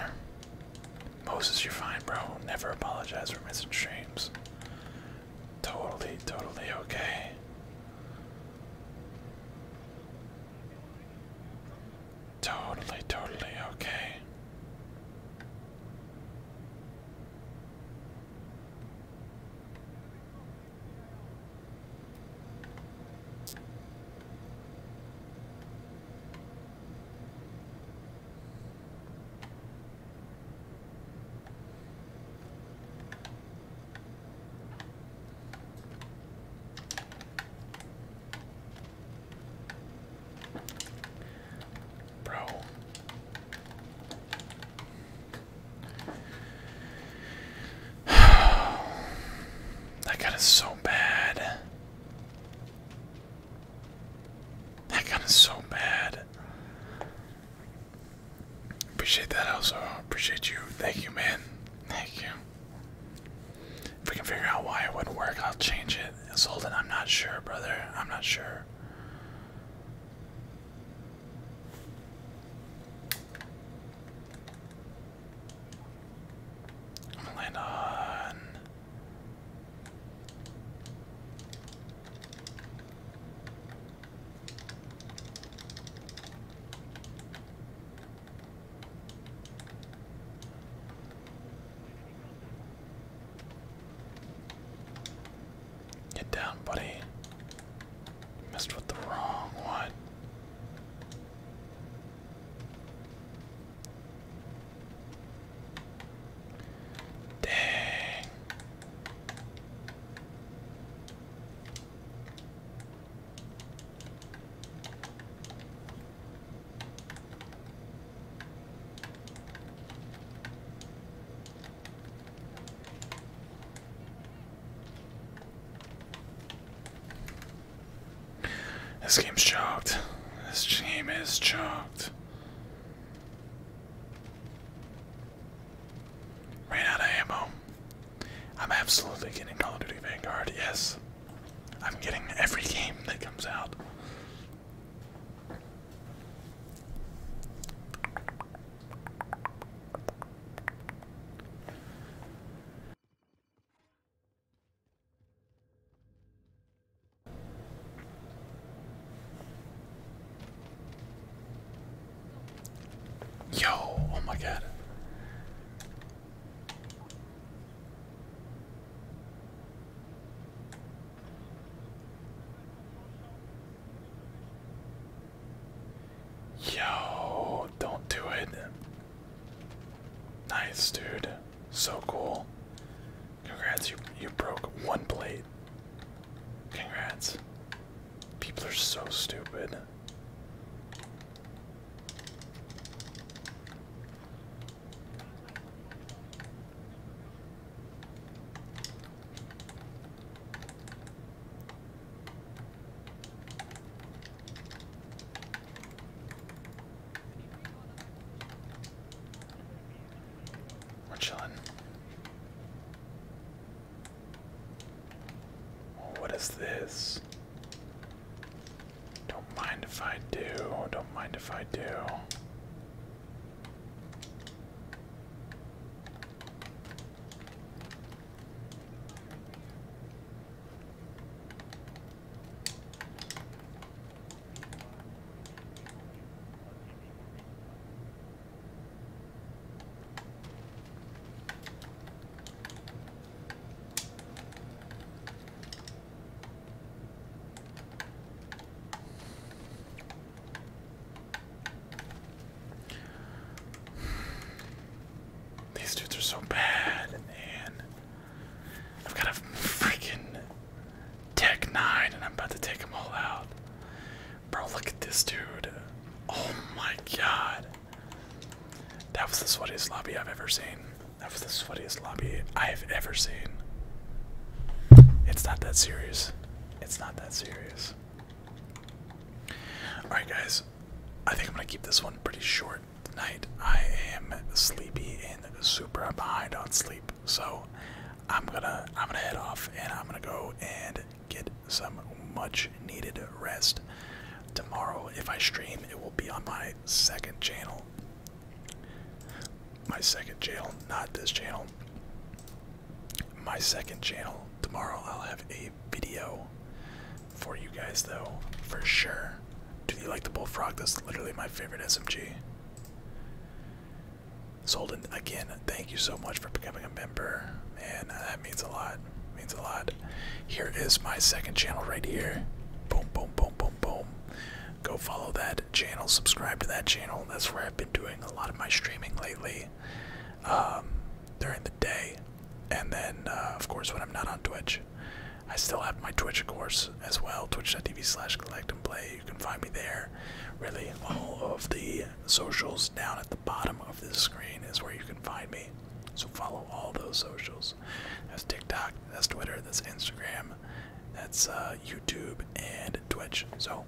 Moses, you're fine, bro. Never apologize for missing streams. Totally, totally okay. Totally, totally okay. Bro. (sighs) that gun is so bad. That gun is so bad. Appreciate that also. Appreciate you. Thank you, man. Thank you. If we can figure out why it wouldn't work, I'll change it. Solden, I'm not sure, brother. I'm not sure. I'm gonna land on. Get down, buddy. Messed with the wrong one. Dang. This game's choked. This game is choked. Ran out of ammo. I'm absolutely getting Call of Duty Vanguard, yes. I'm getting every game that comes out. Yo, oh my god. Yo, don't do it. Nice, dude. So cool. Congrats, you you broke one plate. Congrats. People are so stupid. We're chilling. what is this? Don't mind if I do. Don't mind if I do. These dudes are so bad, and I've got a freaking Tech 9, and I'm about to take them all out. Bro, look at this dude. Oh my god. That was the sweatiest lobby I've ever seen. That was the sweatiest lobby I have ever seen. It's not that serious. It's not that serious. Alright, guys. I think I'm going to keep this one pretty short tonight. I am sleepy and super behind on sleep. So I'm going to I'm going to head off and I'm going to go and get some much needed rest. Tomorrow if I stream, it will be on my second channel. My second channel, not this channel. My second channel. Tomorrow I'll have a video for you guys, though, for sure. Do you like the bullfrog? That's literally my favorite SMG. Solden, again, thank you so much for becoming a member. Man, uh, that means a lot. means a lot. Here is my second channel right here. Boom, boom, boom, boom, boom go follow that channel, subscribe to that channel. That's where I've been doing a lot of my streaming lately um, during the day. And then, uh, of course, when I'm not on Twitch, I still have my Twitch, of course, as well. Twitch.tv slash collect and play. You can find me there. Really, all of the socials down at the bottom of this screen is where you can find me. So follow all those socials. That's TikTok, that's Twitter, that's Instagram, them. That's uh, YouTube and Twitch. So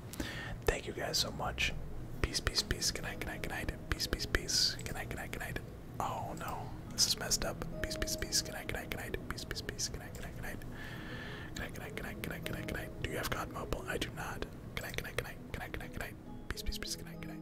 thank you guys so much. Peace, peace, peace. Good night, good night, good night. Peace, peace, peace. Good night, good night, good night. Oh no, this is messed up. Peace, peace, peace. Good night, good night, good night. Peace, peace, peace. Good night, good night, good night. Good night, good night, good night, good night, good night, good night. Do you have COD Mobile? I do not. Good night, good night, good night, good night, good night, good night. Peace, peace, peace. Good night, good night.